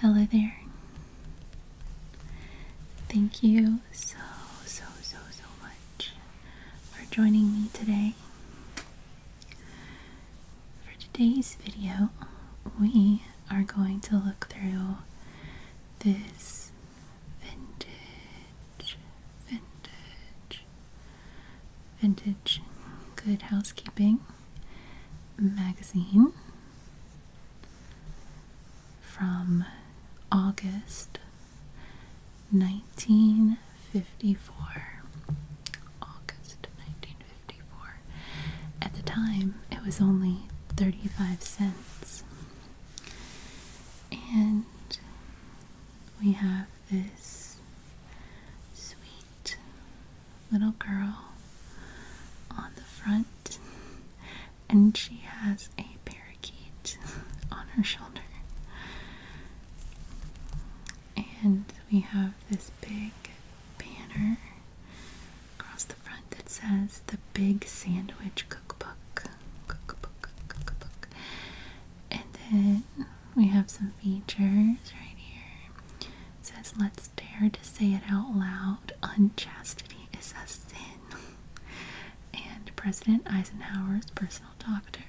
Hello there. Thank you so, so, so, so much for joining me today. For today's video, we are going to look through this vintage, vintage, vintage good housekeeping magazine from August 1954. August 1954. At the time, it was only 35 cents. And we have this sweet little girl on the front, and she has a parakeet on her shoulder. And we have this big banner across the front that says the Big Sandwich Cookbook. Cookbook, cookbook. And then we have some features right here says, Let's dare to say it out loud. Unchastity is a sin. and President Eisenhower's personal doctor.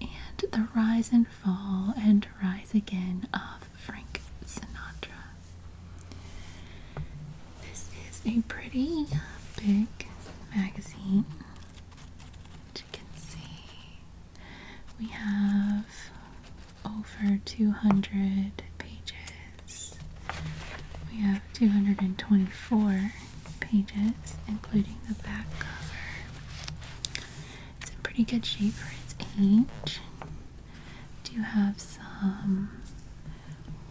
And the rise and fall and rise again of Frank Sinatra. This is a pretty big magazine. As you can see, we have over 200 pages. We have 224 pages, including the back cover. It's in pretty good shape for its age. Do you have some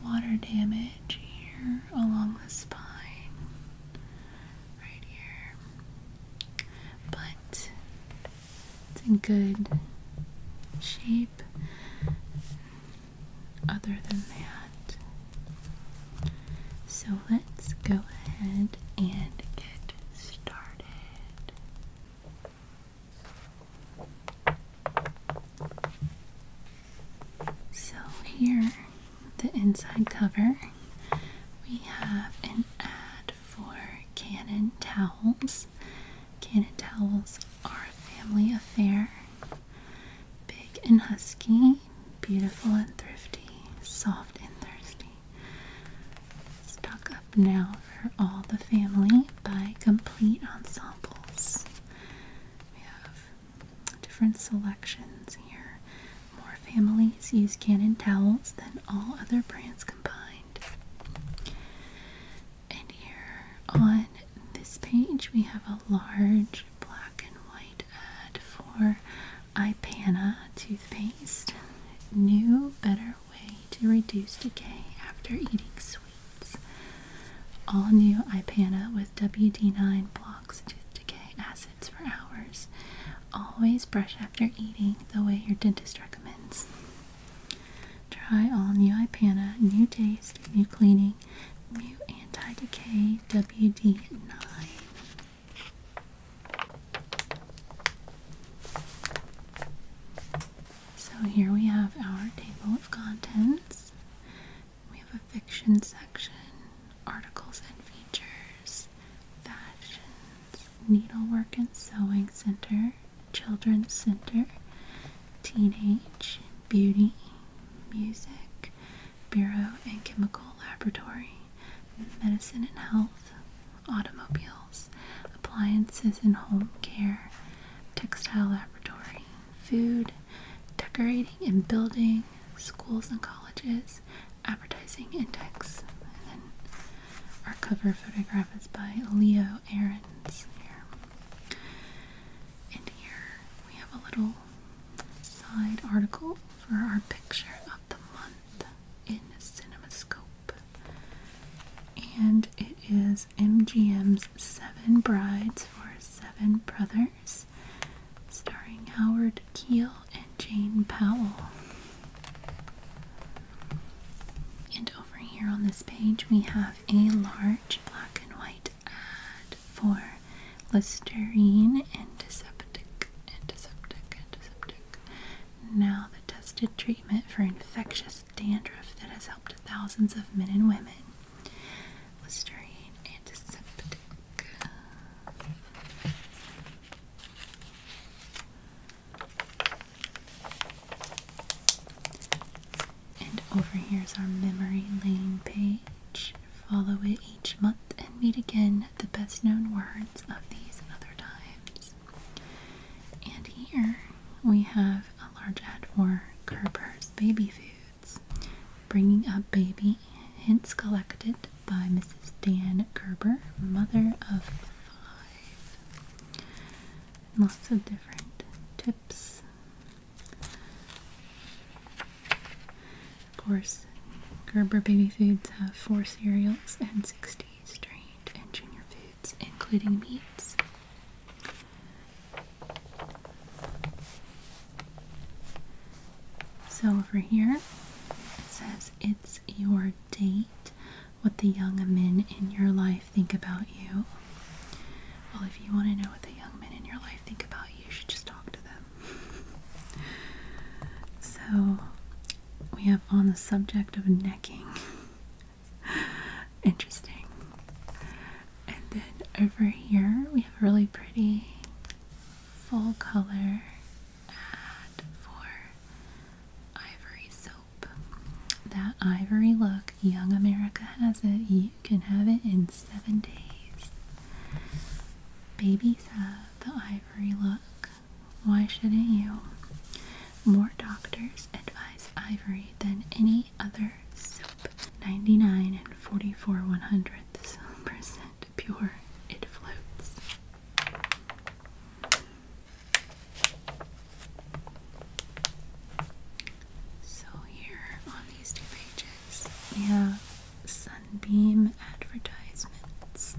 water damage here along the spine, right here. But it's in good shape. Other than that, so let's go ahead and get started. So, here, the inside cover, we have an ad for Canon towels. Cannon towels are a family affair. Big and husky, beautiful and thrifty, soft and thirsty. Stock up now for all the family by Complete Ensembles. We have different selections here. More families use Cannon towels than all other brands combined. And here on this page, we have a large black and white ad for Ipana toothpaste. New, better way to reduce decay after eating sweets. All new Ipana with WD9 blocks decay acids for hours. Always brush after eating the way your dentist recommends. Try all new Ipana, new taste, new cleaning, new anti-decay WD9. So here we have our table of contents. We have a fiction section, articles and features, fashions, needlework and sewing center, Children's Center, Teenage, Beauty, Music, Bureau and Chemical Laboratory, Medicine and Health, Automobiles, Appliances and Home Care, Textile Laboratory, Food, Decorating and Building, Schools and Colleges, Advertising and Text, our cover photograph is by Leo Ahrens here. And here we have a little side article for our picture of the month in CinemaScope. And it is MGM's Seven Brides for Seven Brothers, starring Howard Keel and Jane Powell. And over here on this page, we have a large black and white ad for Listerine antiseptic, antiseptic, antiseptic. Now, the tested treatment for infectious dandruff that has helped thousands of men and women. Listerine antiseptic. And over here is our memory lane page. Follow it each month and meet again the best known words of these other times. And here we have a large ad for Gerber's Baby Foods, bringing up baby hints collected by Mrs. Dan Gerber, mother of five. Lots of different tips. Of course, Gerber Baby Foods have four cereals and 60 strained and junior foods, including meats. So over here it says it's your date what the young men in your life think about you. Well, if you want to know what the young men in your life think about you, you should just talk to them. so, we have on the subject of necking. Interesting. And then over here, we have a really pretty full color ad for ivory silver that ivory look, Young America has it. You can have it in seven days. Babies have the ivory look. Why shouldn't you? More doctors advise ivory than any other soap. 99 and 44 one hundredths percent pure. It floats. So, here on these two pages, we Sunbeam advertisements.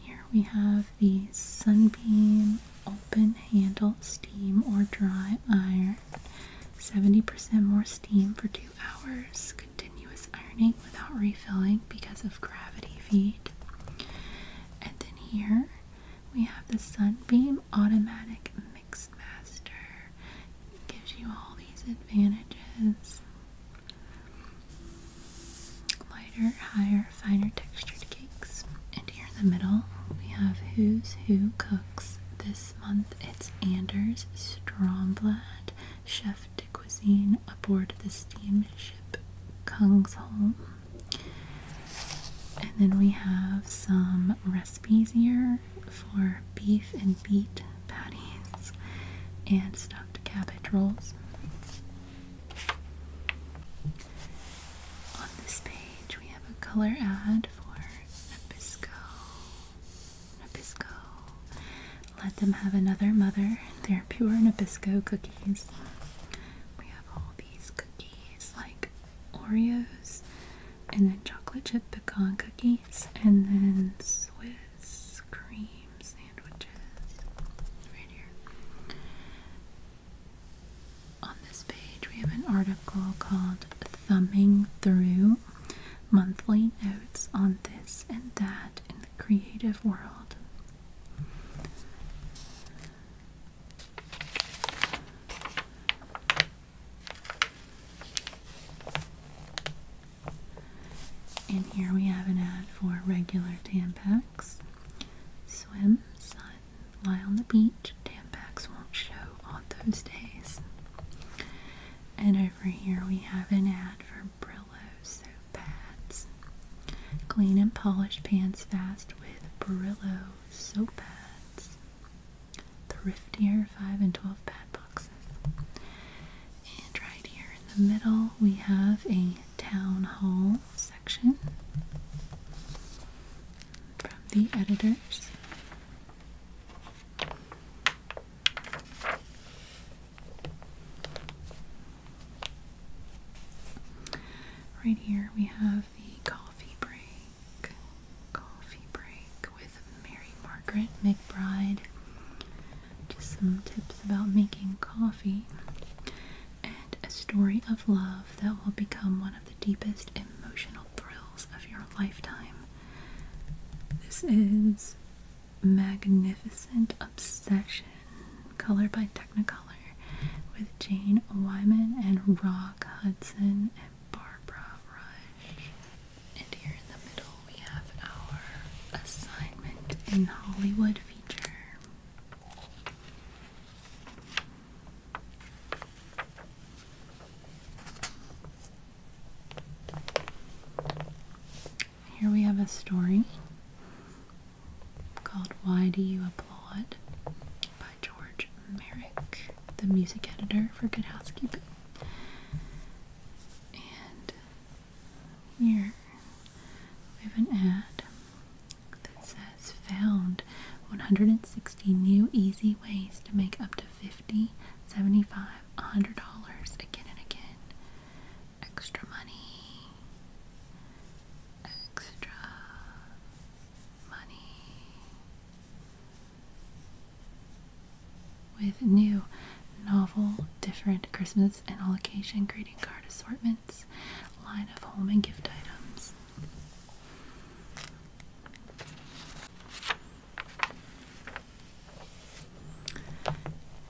Here we have the Sunbeam open handle steam or dry iron. 70% more steam for two hours. Continuous ironing without refilling because of gravity feed. And then here we have the Sunbeam Automatic Mixmaster. Master. It gives you all these advantages. Lighter, higher, finer textured cakes. And here in the middle, we have Who's Who Cooks. This month it's Anders Stromblad, chef de cuisine aboard the steamship Kungsholm. And then we have some recipes here for beef and beet patties and stuffed cabbage rolls. On this page, we have a color ad for Nabisco. Nabisco. Let them have another mother. They're pure Nabisco cookies. We have all cookies like Oreos and then chocolate chip pecan cookies and then Swiss cream sandwiches right here. On this page we have an article called Thumbing Through Monthly Notes on This and That in the Creative World. And here we have an ad for regular Tampax. Swim, sun, lie on the beach. Tampax won't show on those days. And over here we have an ad for Brillo soap pads. Clean and polish pants fast with Brillo soap pads. Thriftier 5 and 12 pad boxes. And right here in the middle, we have a town hall section from the editors. Right here we have the coffee break. Coffee break with Mary Margaret McBride. Just some tips about making coffee and a story of love that will become one of the deepest emotional thrills of your lifetime. This is Magnificent Obsession color by Technicolor with Jane Wyman and Rock Hudson and Barbara Rush. And here in the middle we have our assignment in Hollywood feature. Here we have a story called Why Do You Applaud by George Merrick, the music editor for Good Housekeeping. And here we have an ad that says Found 160 new easy ways to make up to 50, 75, $100 again and again. Extra money extra money with new, novel, different Christmas and all occasion greeting card assortments, line of home and gift items.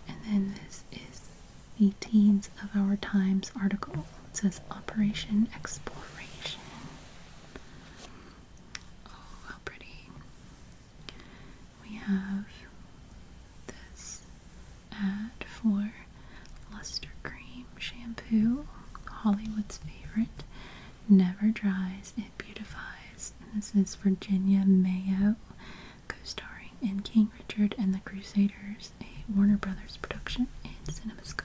And then this is the Teens of Our Times article. says Operation Exploration. Oh, how pretty. We have this ad for Luster Cream Shampoo, Hollywood's favorite. Never dries, it beautifies. this is Virginia Mayo, co starring in King Richard and the Crusaders a Warner Brothers production, and CinemaScope.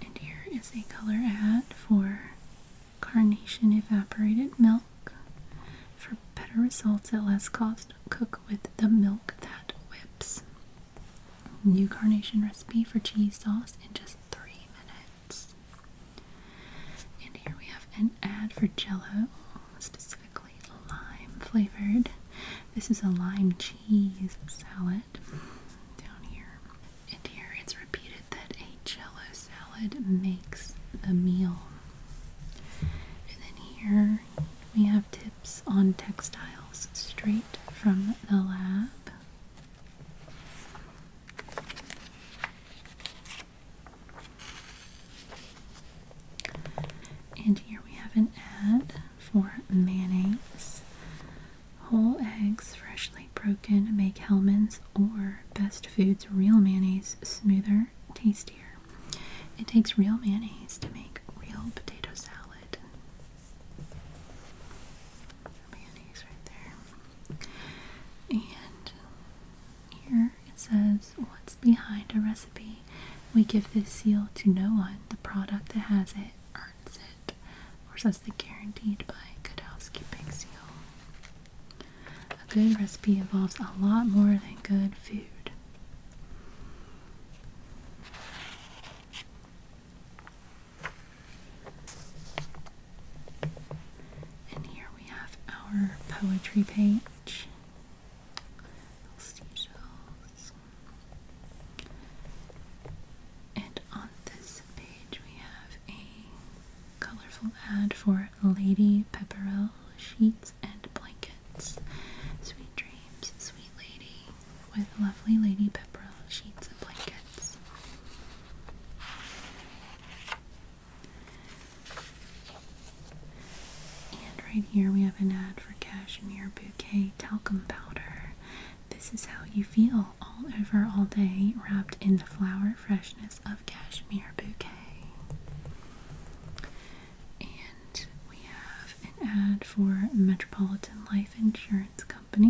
And here is a color ad for Carnation Evaporated Milk. For better results at less cost, cook with the milk that whips. New carnation recipe for cheese sauce in just three minutes. And here we have an ad for Jello, specifically lime flavored. This is a lime cheese salad down here. And here it's repeated that a Jello salad makes the meal. And then here we have tips on textiles straight from the lab. And here we have an ad for mayonnaise. Whole eggs, freshly broken, make helmans or Best Foods real mayonnaise smoother, tastier. It takes real mayonnaise to make real potato salad for right there. And here it says, What's behind a recipe? We give this seal to no one. The product that has it earns it. Of course, that's the guaranteed by Good Housekeeping seal. A good recipe involves a lot more than good food. And here we have our poetry page. And on this page we have a colorful ad for Lady Pepperell sheets and blankets. Sweet dreams, sweet lady with lovely Lady Pepperell sheets and blankets. And right here we have an ad for cashmere bouquet talcum powder. This is how you feel all over all day, wrapped in the flower freshness of cashmere bouquet. And we have an ad for Metropolitan Life Insurance and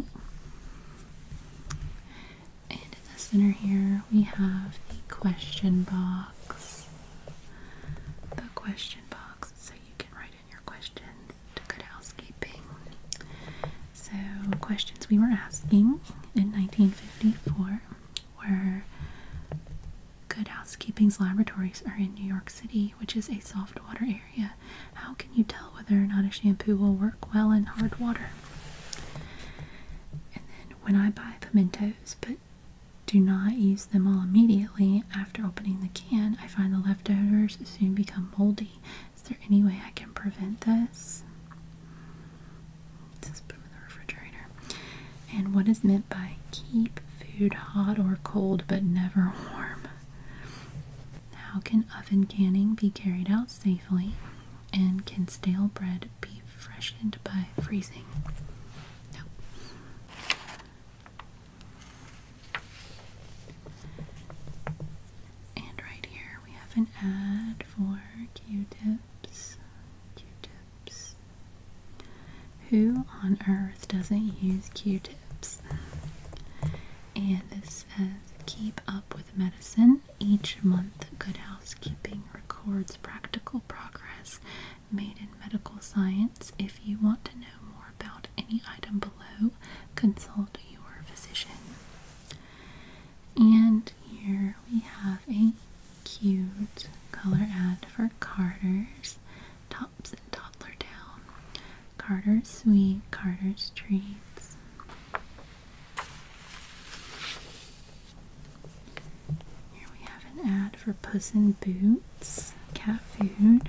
in the center here, we have the question box. The question box, so you can write in your questions to good housekeeping. So, questions we were asking in 1954 were Good Housekeeping's laboratories are in New York City, which is a soft water area how can you tell whether or not a shampoo will work well in hard water? And then when I buy pimentos, but do not use them all immediately after opening the can, I find the leftovers soon become moldy. Is there any way I can prevent this? just put them in the refrigerator. And what is meant by keep food hot or cold but never warm? How can oven canning be carried out safely? And can stale bread be freshened by freezing? And right here we have an ad for Q-tips. Q-tips. Who on earth doesn't use Q-tips? And it says keep up with medicine. Each month, Good Housekeeping records practical progress made in medical science. If you want to know more about any item below, consult your physician. And here we have a cute color ad for Carter's Tops and Toddler down. Carter's Sweet, Carter's Treats. Here we have an ad for Puss in Boots cat food.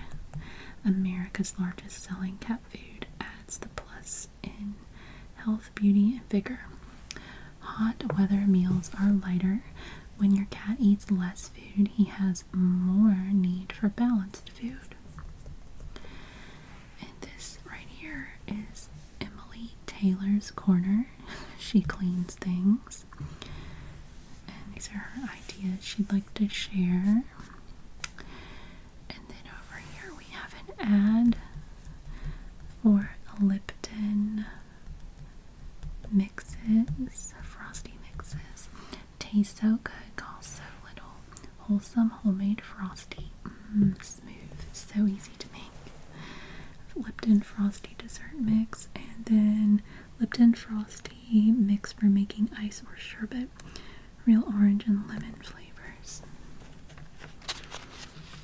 America's largest selling cat food adds the plus in health, beauty, and vigor. Hot weather meals are lighter. When your cat eats less food, he has more need for balanced food. And this right here is Emily Taylor's Corner. she cleans things. And these are her ideas she'd like to share. And then over here we have an ad for Lipton mixes, frosty mixes. Tastes so good, costs so little. Wholesome homemade frosty. Mmm, smooth, so easy to make. Lipton frosty dessert mix, and then Lipton frosty mix for making ice or sherbet. Real orange and lemon flavors.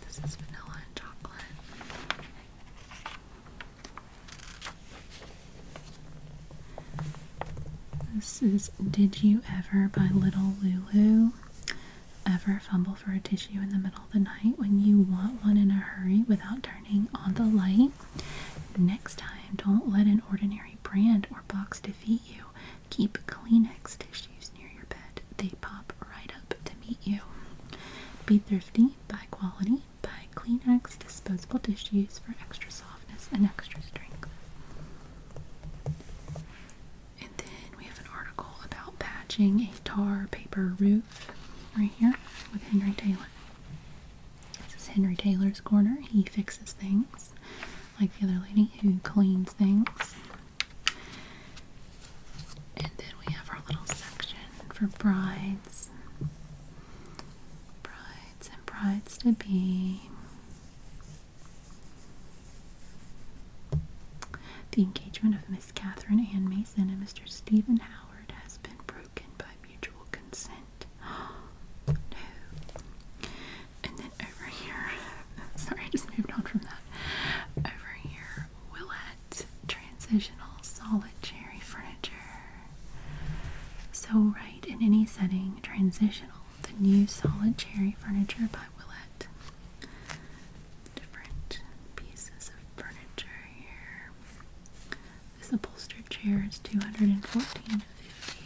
This is vanilla and chocolate. This is Did You Ever by Little Lulu. Ever fumble for a tissue in the middle of the night when you want one in a hurry without turning on the light? Next time, don't let an ordinary brand or box defeat you. Keep Kleenex tissues near your bed. They pop right up to meet you. Be thrifty, buy quality, buy Kleenex disposable tissues for extra softness and extra strength. And then we have an article about patching a tar paper roof right here with Henry Taylor. This is Henry Taylor's corner. He fixes things like the other lady who cleans things. And then we have our little section for brides. Brides and brides to be. The engagement of Miss Catherine Ann Mason and Mr. Stephen Howard has been broken by mutual consent. no. And then over here, sorry, I just moved on from that. Over here, Willette Transitional Solid Cherry Furniture. So, right in any setting, transitional the New Solid Cherry Furniture by Willette. Different pieces of furniture here. This upholstered chair is two hundred and fourteen fifty.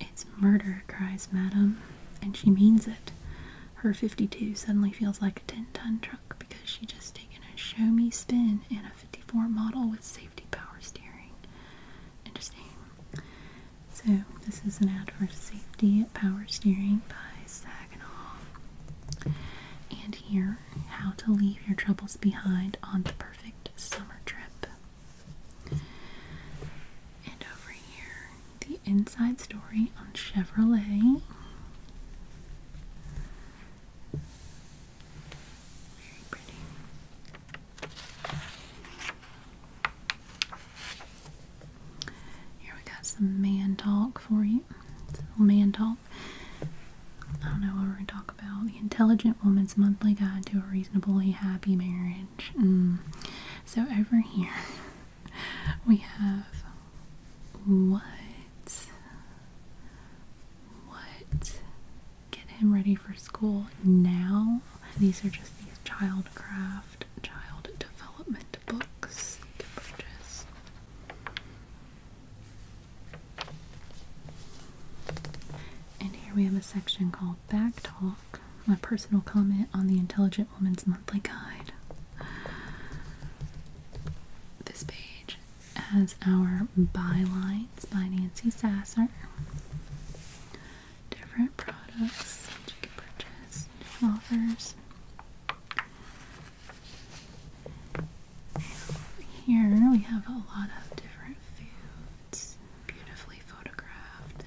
It's murder, cries Madam, and she means it her 52 suddenly feels like a 10 ton truck because she just taken a show me spin in a 54 model with safety power steering. Interesting. So, this is an ad for safety power steering by Saginaw. And here, how to leave your troubles behind on the perfect summer trip. And over here, the inside story on Chevrolet. Here we got some man talk for you. It's a man talk. I don't know what we're gonna talk about. The Intelligent Woman's Monthly Guide to a Reasonably Happy Marriage. Mm. So over here, we have what? What? Get him ready for school now. These are just these child craft, child development books you can purchase. And here we have a section called Back Talk, a personal comment on the Intelligent Woman's Monthly Guide. This page has our bylines by Nancy Sasser. Different products that you can purchase, offers. Here we have a lot of different foods, beautifully photographed.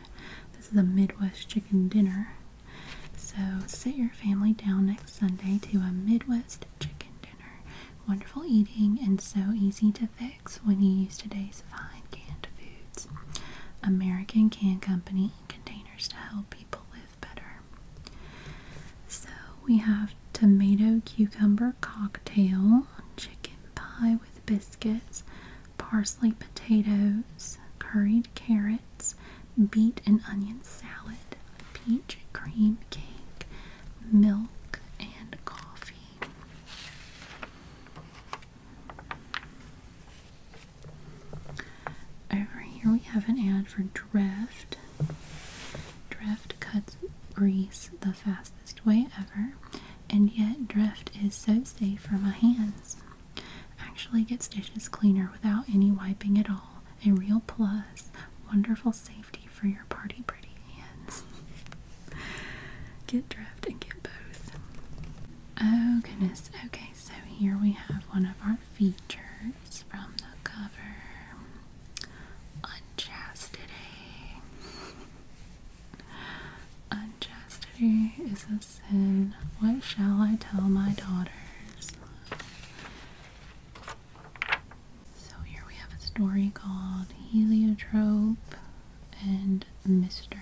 This is a Midwest chicken dinner so sit your family down next Sunday to a Midwest chicken dinner. Wonderful eating and so easy to fix when you use today's fine canned foods. American Can Company containers to help people live better. So we have tomato cucumber cocktail, chicken pie with biscuits, parsley potatoes, curried carrot, beet and onion salad, peach cream cake, milk, and coffee. Over here we have an ad for Dreft. Dreft cuts grease the fastest way ever, and yet Dreft is so safe for my hands. Actually gets dishes cleaner without any wiping at all a real plus. Wonderful safety for your party pretty hands. get drift and get both. Oh goodness. Okay, so here we have one of our features from the cover. Unchastity. Unchastity is a sin. What shall I tell my daughters? So here we have a story called Heliotrope and Mr.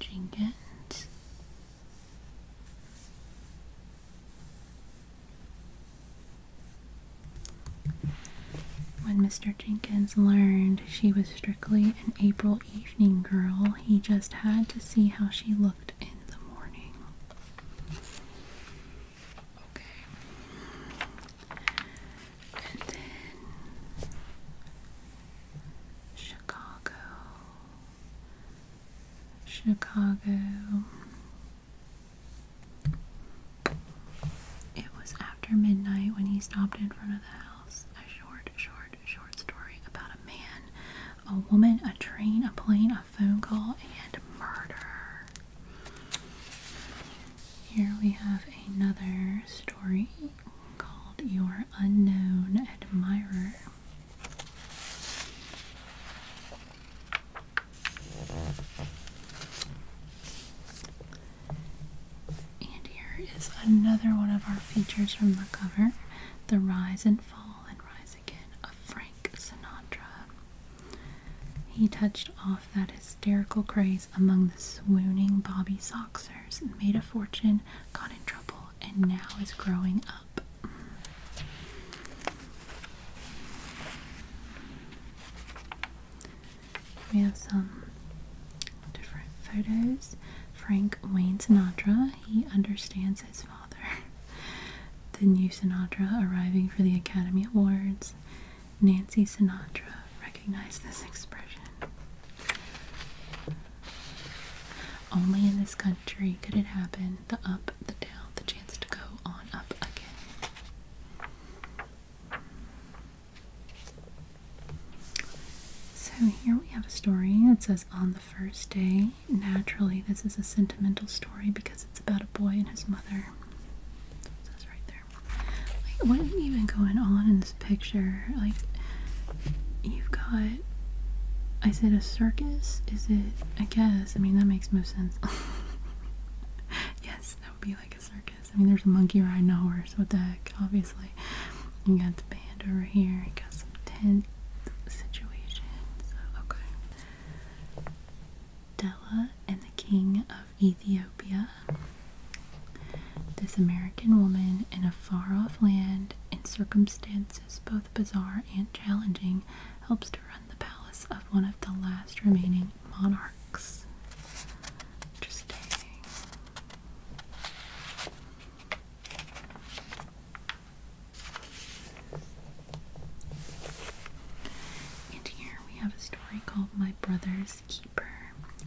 Jenkins. When Mr. Jenkins learned she was strictly an April evening girl, he just had to see how she looked in the morning. Okay. And then Chicago. Chicago. It was after midnight when he stopped in front of the house. A short, short, short story about a man, a woman, a train, a plane, a phone call and murder. Here we have another story called Your Unknown Admirer. And here is another one of our features from the cover The Rise and Fall and Rise again of Frank Sinatra. He touched off that hysterical craze among the swooning Bobby Soxers, made a fortune, got in trouble, and now is growing up. We have some different photos. Frank Wayne Sinatra. He understands his father the new Sinatra arriving for the Academy Awards. Nancy Sinatra recognized this expression. Only in this country could it happen. The up, the down, the chance to go on up again. So here we have a story. that says, On the first day, naturally this is a sentimental story because it's about a boy and his mother. That's right there. what is even going on in this picture? Like you've got is it a circus? Is it I guess, I mean that makes most sense. yes, that would be like a circus. I mean there's a monkey riding a So what the heck, obviously. You got the band over here, you got some tent situations. okay. Della and the King of Ethiopia. This American woman in a far off land, in circumstances both bizarre and challenging, helps to run the palace of one of the last remaining monarchs. Interesting. And here we have a story called My Brother's Keeper,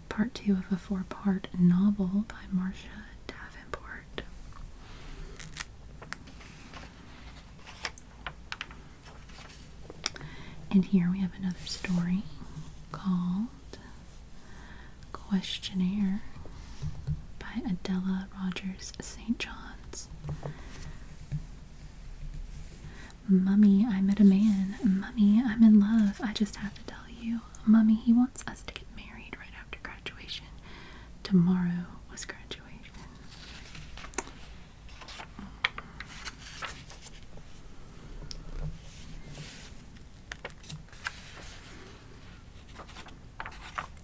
part two of a four part novel by Marcia Davenport. And here we have another story called Questionnaire by Adela Rogers St. John's. Mummy, I met a man. Mummy, I'm in love. I just have to tell you. Mummy, he wants us to get married right after graduation. Tomorrow was graduation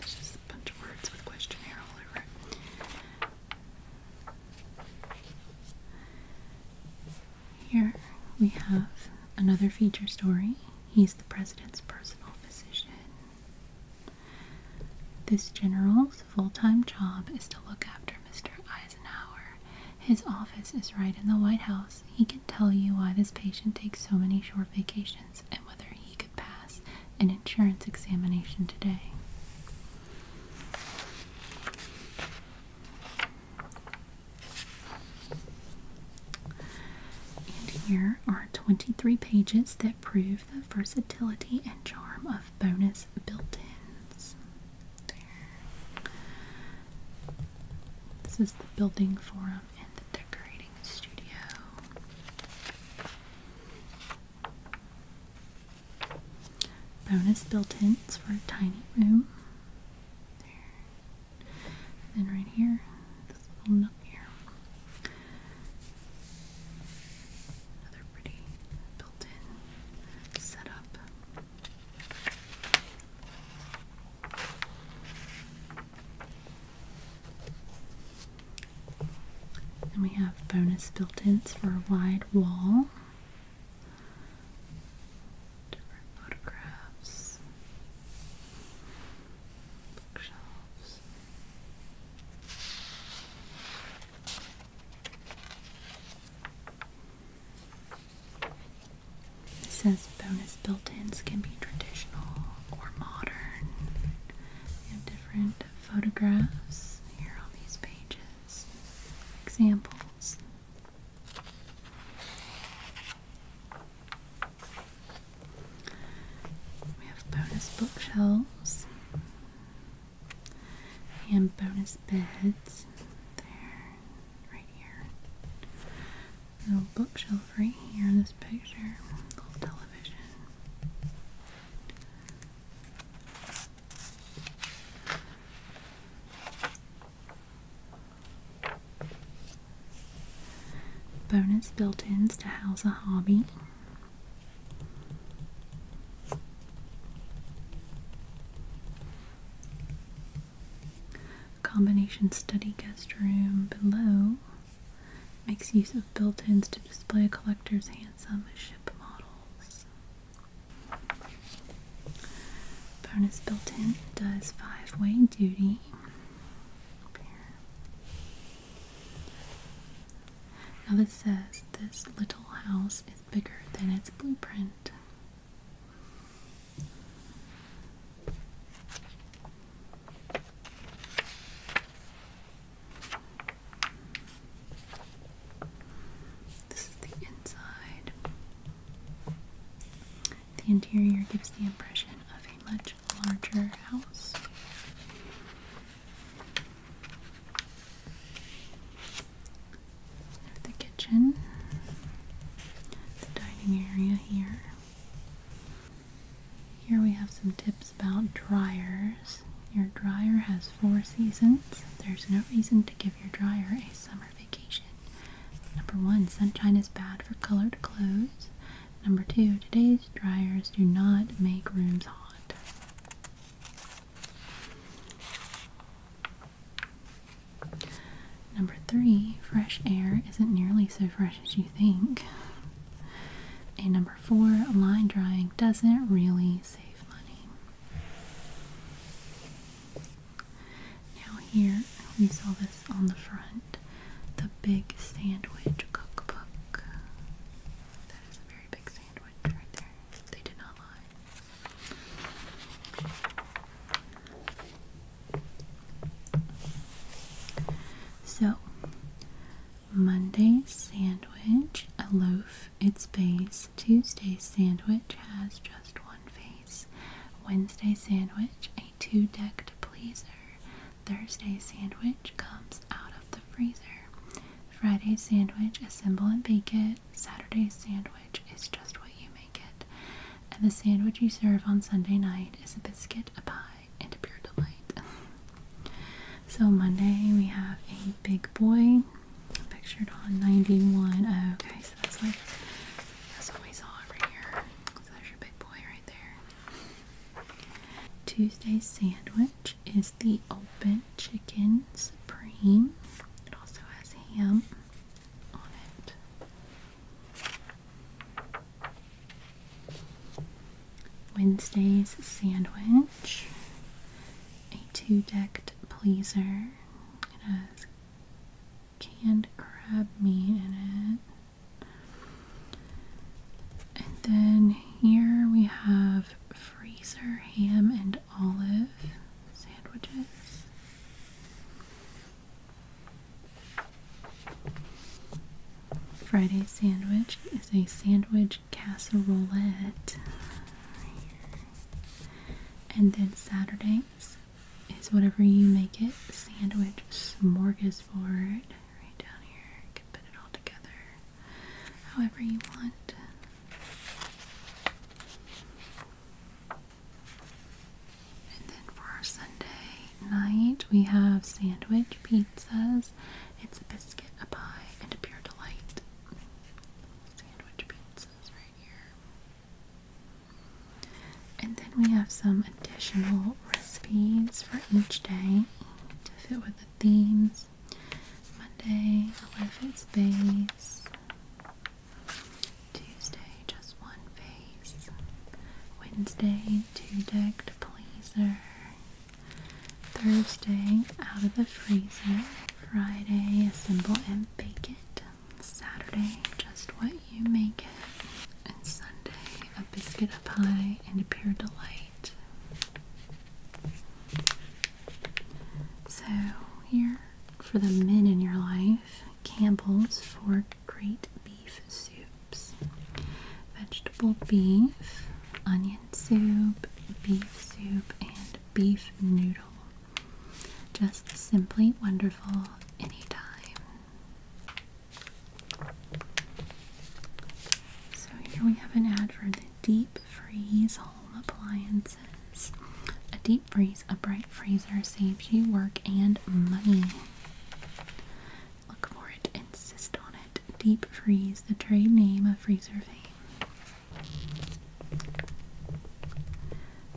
just a bunch of words with questionnaire all over Here we have another feature story. He's the president's personal physician. This general's full time job is to look after Mr. Eisenhower. His office is right in the White House. He can tell you why this patient takes so many short vacations and whether he could pass an insurance examination today. And here are 23 pages that prove the versatility and charm of bonus built ins. This is the building forum and the decorating studio. Bonus built-ins for a tiny room. then right here, this little nook here. Another pretty built-in setup. And we have bonus built-ins for a wide wall. Different photographs. Bookshelves. It says bonus built-ins can be traditional or modern. We have different photographs here on these pages, examples. We have bonus bookshelves and bonus beds there, right here. Little bookshelf right here in this picture, little television. Bonus built ins to house a hobby. Combination study guest room below Makes use of built-ins to display a collector's handsome ship models. Bonus built-in does five-way duty. Now this says this little house is bigger than its blueprint. This is the inside. The interior gives the impression of a much larger house. the kitchen, the dining area here, here we have some tips about dryers. Your dryer has four seasons. There's no reason to give your dryer a summer vacation. Number one, sunshine is bad for colored clothes. Number two, today's dryers do not make rooms hot. Number three, fresh air isn't nearly so fresh as you think. And number four, line drawing doesn't really save money. Now, here we saw this on the front the Big Sandwich Cookbook. That is a very big sandwich right there. They did not lie. So, Monday sandwich, a loaf, its base. Tuesday sandwich has just one face. Wednesday sandwich, a two decked pleaser. Thursday sandwich comes out of the freezer. Friday sandwich, assemble and bake it. Saturday sandwich is just what you make it. And the sandwich you serve on Sunday night is a biscuit, a pie, into pure delight. so Monday we have a big boy pictured on 91. okay, so that's like that's what we saw over here. So there's your big boy right there. Tuesday's sandwich is the open chicken supreme. It also has ham on it. Wednesday's sandwich, a two-decked pleaser. It has canned crab meat in it. And then here we have freezer ham and olive sandwiches. Friday sandwich is a sandwich casserolette. And then Saturdays is whatever you make it. Sandwich smorgasbord. Right down here. You can put it all together however you want. And then for our Sunday night, we have sandwich pizzas it's a biscuit, a pie, and a pure delight. Sandwich pizzas right here. And then we have some additional recipes for each day to fit with the themes. Monday, a life face. Tuesday, just one face. Wednesday, two decked pleaser. Thursday, out of the freezer. Friday, assemble and bake it. Saturday, just what you make it. And Sunday, a biscuit, a pie, and a pure delight. So, here for the men in your life, Campbell's for great beef soup vegetable beef, onion soup, beef soup, and beef noodle. Just simply wonderful anytime. So here we have an ad for the Deep Freeze Home Appliances. A deep freeze, a bright freezer saves you work and money. Look for it, insist on it. Deep Freeze, the trade name of freezer fame.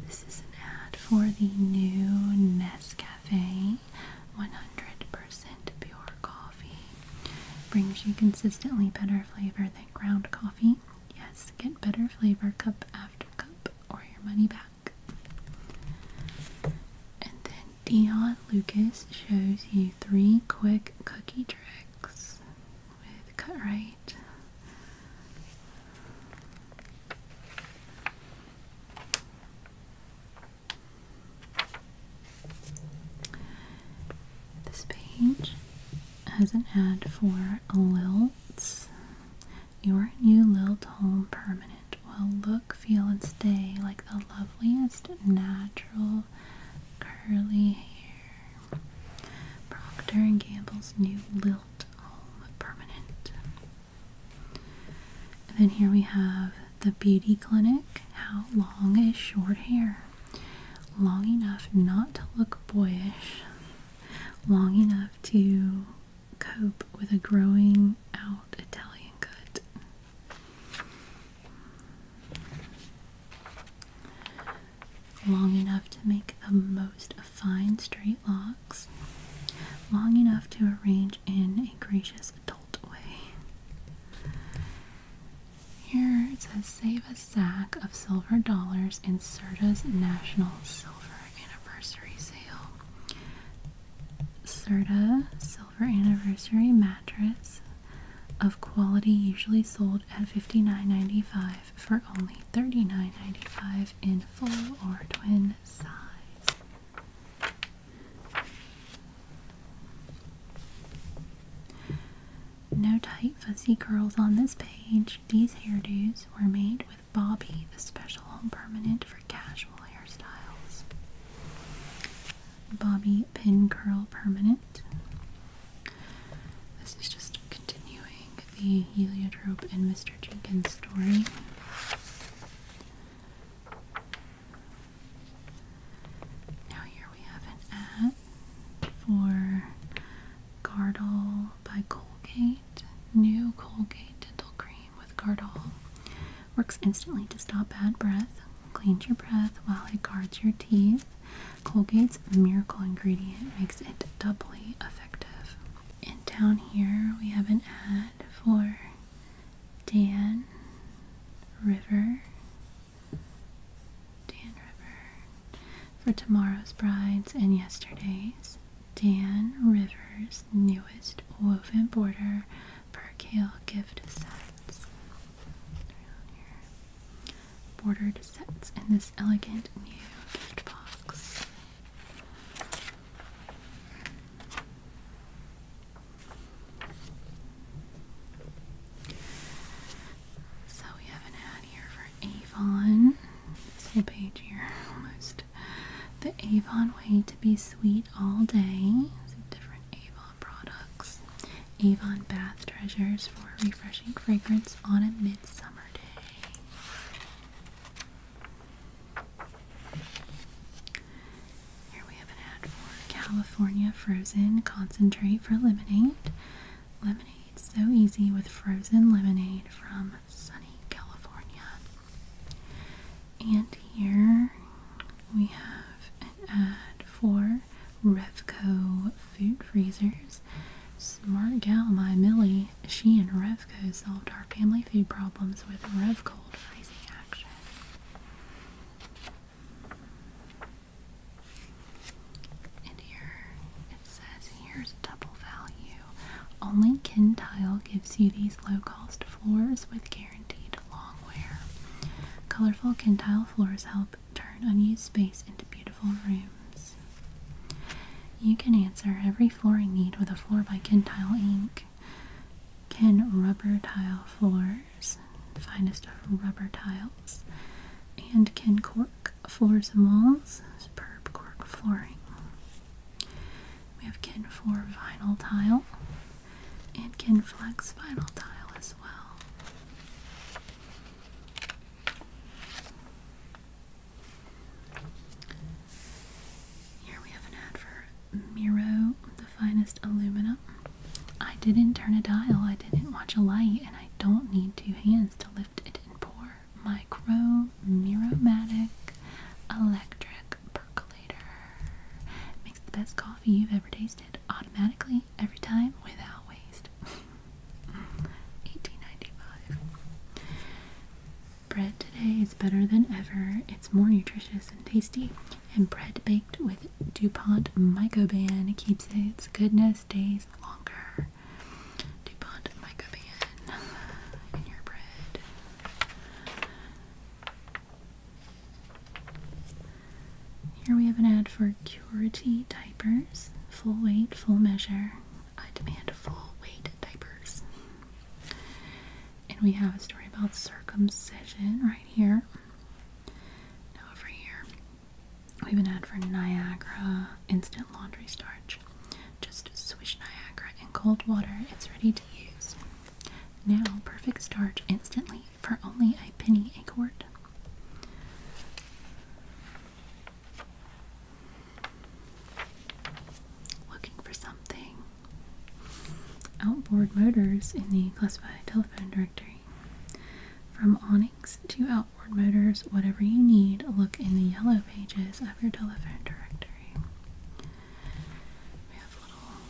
This is an ad for the new Nescafe 100% pure coffee. Brings you consistently better flavor than ground coffee. Yes, get better flavor cup after cup or your money back. And then Dion Lucas shows you three quick cookie tricks with cut This page has an ad for Lilt's. Your new Lilt Home Permanent will look, feel, and stay like the loveliest natural curly hair. Procter & Gamble's new Lilt Permanent. then here we have the Beauty Clinic. How long is short hair? Long enough not to look boyish. Long enough to cope with a growing out Italian cut. Long enough to make the most of fine straight locks. Long enough to arrange in a gracious adult way. Here it says save a sack of silver dollars in CERTA's National Silver Anniversary Sale. CERTA for anniversary mattress of quality usually sold at $59.95 for only $39.95 in full or twin size. No tight fuzzy curls on this page. These hairdos were made with Bobby, the special home permanent for casual hairstyles. Bobby Pin Curl Permanent. This is just continuing the Heliotrope and Mr. Jenkins story. Now here we have an ad for Gardol by Colgate. New Colgate dental cream with Gardol. Works instantly to stop bad breath, cleans your breath while it guards your teeth. Colgate's miracle ingredient makes it doubly effective. And down here we have an ad for Dan River. Dan River. For tomorrow's brides and yesterday's. Dan River's newest woven border percale gift sets. Bordered sets in this elegant new gift box. So we have an ad here for Avon. This page here almost. The Avon way to be sweet all day. different Avon products. Avon Bath Treasures for refreshing fragrance on a midsummer day. Here we have an ad for California Frozen Concentrate for Lemonade. Lemonade so easy with frozen lemonade from sunny California. And here we have an ad for Revco food freezers. Smart gal, my Millie, she and Revco solved our family food problems with Revcold freezing action. And here it says here's double value. Only Kintile gives you these low cost floors with guaranteed long wear. Colorful can tile floors help turn unused space into beautiful rooms. You can answer every flooring need with a floor by Kentile ink. Ken rubber tile floors, finest of rubber tiles, and Ken cork floors and walls, superb cork flooring. We have Ken for vinyl tile, and can flex vinyl tile as well. Here we have an ad for Miro, the finest aluminum. I didn't turn a dial, I didn't watch a light, and I don't need two hands to lift it and pour. Micro Miromatic Electric Percolator later. Makes the best coffee you've ever tasted automatically, every time, without waste. 1895. Bread today is better than ever. It's more nutritious and tasty, and bread baked with DuPont Mycoban keeps its goodness days longer. DuPont Mycoban in your bread. Here we have an ad for Curity diapers, full weight, full measure. I demand full weight diapers. And we have a story about circumcision right here. Now over here, we have an ad for Niagara instant laundry starch. Just swish Niagara in cold water. It's ready to use. Now, perfect starch instantly for only a penny a quart. Looking for something. Outboard motors in the classified telephone directory. From awnings to outboard motors, whatever you need, look in the yellow pages of your telephone directory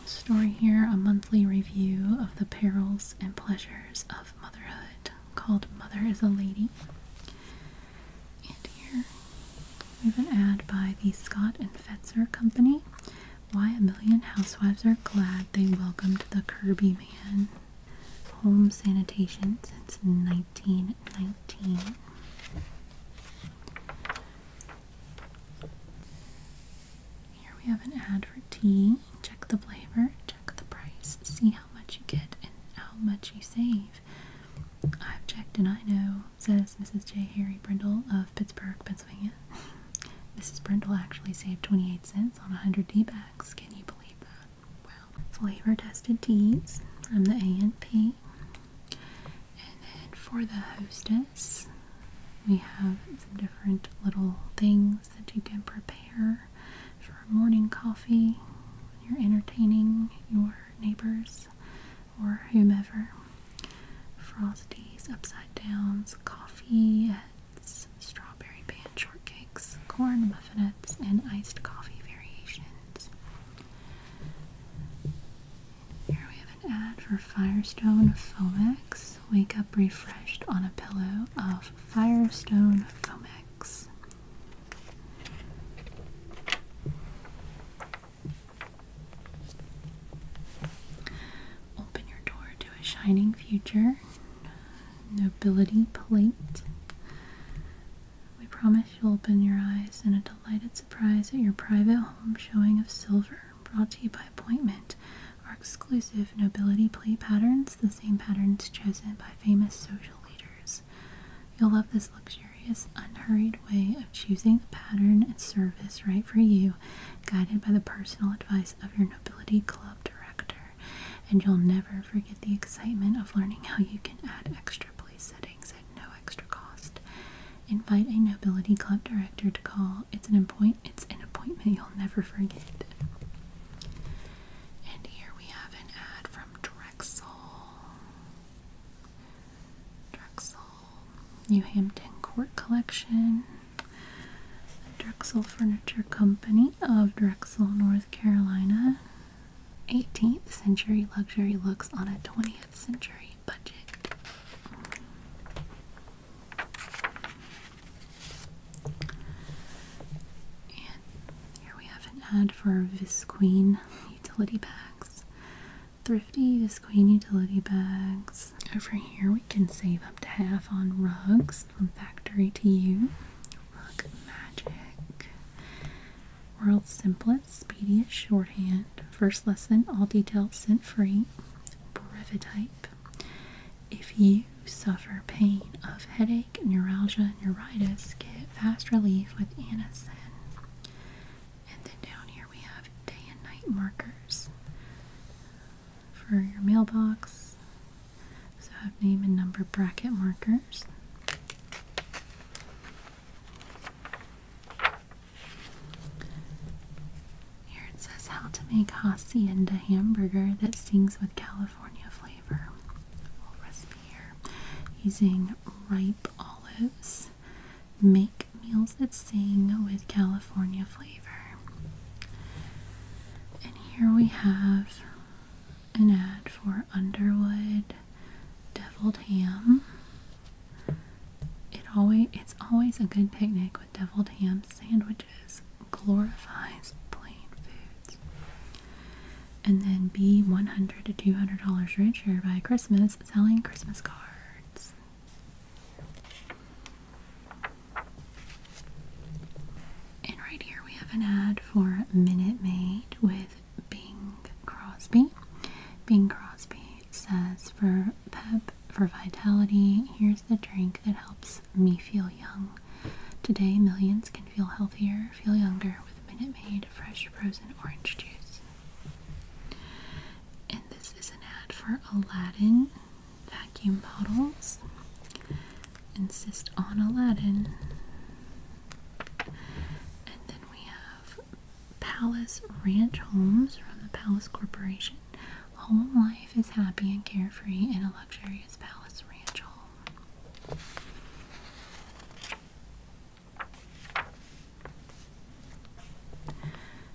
story here a monthly review of the perils and pleasures of motherhood called Mother is a Lady. And here we have an ad by the Scott and Fetzer Company. Why a million housewives are glad they welcomed the Kirby man. Home sanitation since 1919. Here we have an ad for tea. Check the flavor, check the price, see how much you get and how much you save. I've checked and I know, says Mrs. J. Harry Brindle of Pittsburgh, Pennsylvania. Mrs. Brindle actually saved 28 cents on 100 tea bags. Can you believe that? Well, Flavor tested teas from the A&P. And then for the hostess, we have some different little things that you can prepare for morning coffee when you're entertaining your neighbors or whomever. Frosties, upside downs, coffee heads, strawberry pan shortcakes, corn muffinettes, and iced coffee variations. Here we have an ad for Firestone Fomex wake up refreshed on a pillow of Firestone Fomex. Open your door to a shining future. Nobility plate. We promise you'll open your eyes in a delighted surprise at your private home showing of silver brought to you by appointment are exclusive nobility play patterns, the same patterns chosen by famous social leaders. You'll love this luxurious, unhurried way of choosing the pattern and service right for you, guided by the personal advice of your nobility club director. And you'll never forget the excitement of learning how you can add extra place settings at no extra cost. Invite a nobility club director to call. It's an appoint it's an appointment you'll never forget. And here we have an ad from Drexel. Drexel New Hampton Court Collection. Drexel Furniture Company of Drexel, North Carolina. 18th century luxury looks on a 20th century budget. And here we have an ad for Visqueen utility bags. Thrifty Visqueen utility bags. Over here we can save up to half on rugs from factory to you. Rug magic. World's simplest, speediest shorthand. First lesson, all details sent free. Brevitite. If you suffer pain of headache, neuralgia, neuritis, get fast relief with Anacin. And then down here we have day and night markers for your mailbox. So have name and number bracket markers. Here it says how to make Hacienda hamburger that sings with California flavor. Little recipe here. Using ripe olives. Make meals that sing with California flavor. And here we have an ad for Underwood deviled ham. It always it's always a good picnic with deviled ham sandwiches glorifies plain foods. And then be $100 to $200 richer by Christmas selling Christmas cards. And right here we have an ad for Minute Maid with Bing Crosby. Bing Crosby says for pep, for vitality, here's." the drink that helps me feel young. Today, millions can feel healthier, feel younger with Minute Maid fresh frozen orange juice. And this is an ad for Aladdin vacuum bottles. Insist on Aladdin. And then we have Palace Ranch Homes from the Palace Corporation. Home life is happy and carefree in a luxurious palace ranch home.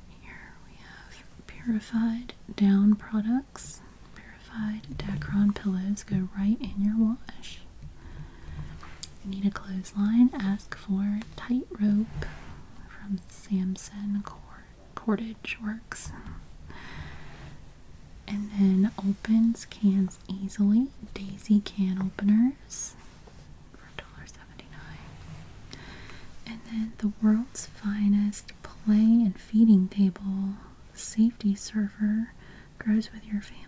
Here we have purified down products. Purified Dacron pillows go right in your wash. Need a clothesline? Ask for tightrope from Samson Cord cordage works. And then opens cans easily. Daisy can openers for $1.79. And then the world's finest play and feeding table safety server grows with your family.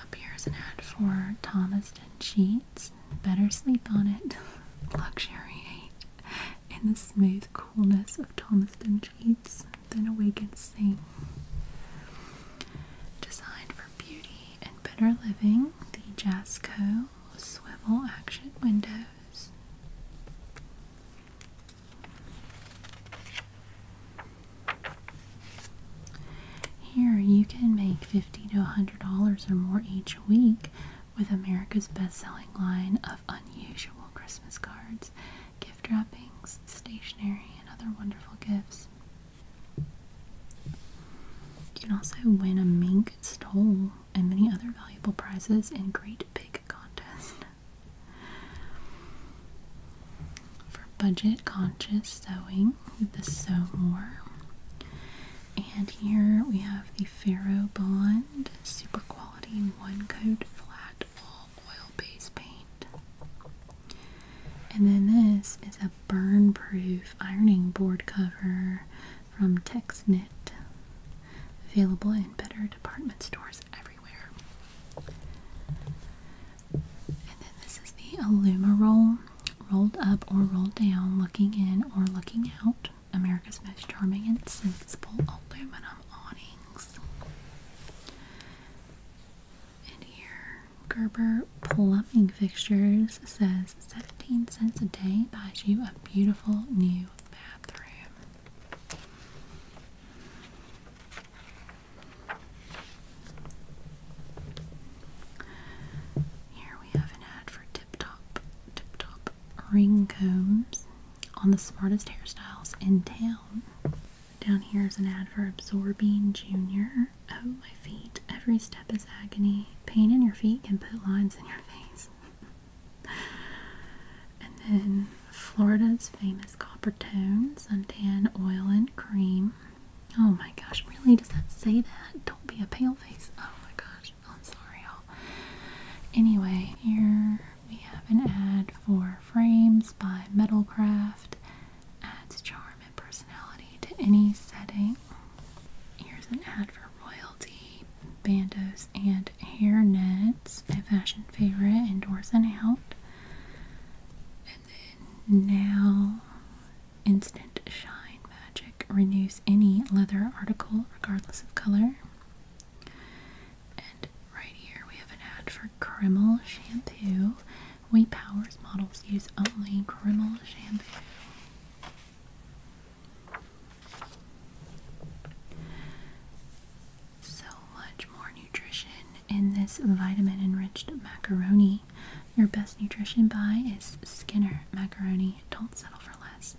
Up here is an ad for Thomaston Sheets better sleep on it. Luxuriate in the smooth coolness of Thomaston sheets than awaken and Designed for beauty and better living, the Jasco swivel action windows. Here you can make $50 to $100 or more each week with America's best-selling line of unusual Christmas cards, gift wrappings, stationery, and other wonderful gifts. You can also win a mink stole and many other valuable prizes in Great Big Contest. For budget conscious sewing, the Sew More. And here we have the Faro Bond Super Quality One Coat Flat Wall Oil Base Paint. And then this is a burn proof ironing board cover from Tex Available in better department stores everywhere. And then this is the Aluma Roll rolled up or rolled down, looking in or looking out. America's most charming and sensible aluminum awnings. And here, Gerber Plumbing Fixtures says 17 cents a day buys you a beautiful new bathroom. Here we have an ad tip top, tip top ring combs on the smartest hairstyles in town. Down here is an ad for Absorbing Junior. Oh, my feet. Every step is agony. Pain in your feet can put lines in your face. and then Florida's famous copper tone, suntan oil and cream. Oh my gosh, really? Does that say that? Don't be a pale face. Oh my gosh. I'm sorry, Anyway, here we have an ad for frames by Metalcraft. Adds charm and personality to any setting. Here's an ad for royalty, bandos, and hairnets. My fashion favorite, indoors and out. And then now Instant Shine Magic renews any leather article regardless of color. And right here we have an ad for Kreml shampoo. We Powers models use only Kreml shampoo. So much more nutrition in this vitamin enriched macaroni. Your best nutrition buy is Skinner macaroni. Don't settle for less.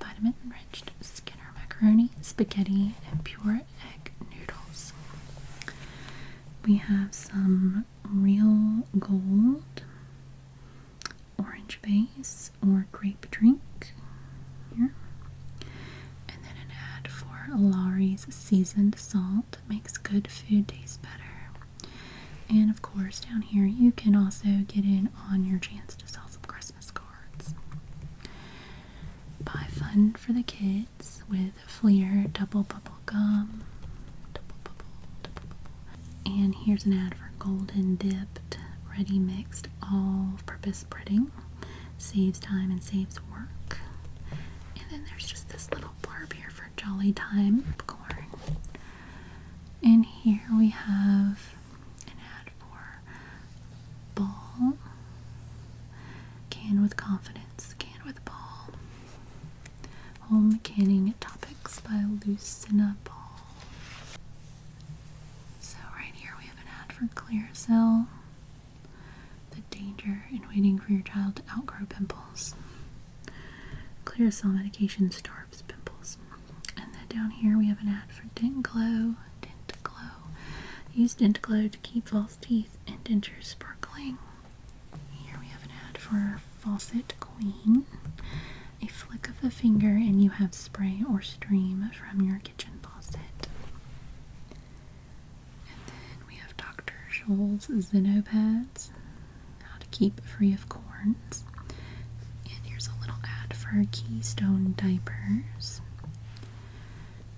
Vitamin enriched Skinner macaroni, spaghetti, and pure egg noodles. We have some real gold orange base or grape drink here. And then an ad for Lowry's seasoned salt makes good food taste better. And of course, down here you can also get in on your chance to sell some Christmas cards. Buy fun for the kids with Fleer double bubble gum. And here's an ad for golden dipped, ready mixed, all purpose breading. Saves time and saves work. And then there's just this little barb here for Jolly Time popcorn. And here we have an ad for ball. Can with confidence, can with ball. Home canning topics by Lucina Ball. So right here we have an ad for Clear Cell. The danger in waiting for your child to outgrow pimples. Clear cell medication store pimples. And then down here we have an ad for Dent Glow. Use Dent Glow to keep false teeth and dentures sparkling. Here we have an ad for Faucet Queen. A flick of the finger and you have spray or stream from your kitchen faucet. And then we have Dr. Scholl's Zenopads. How to Keep Free of Corns. And here's a little ad for Keystone Diapers.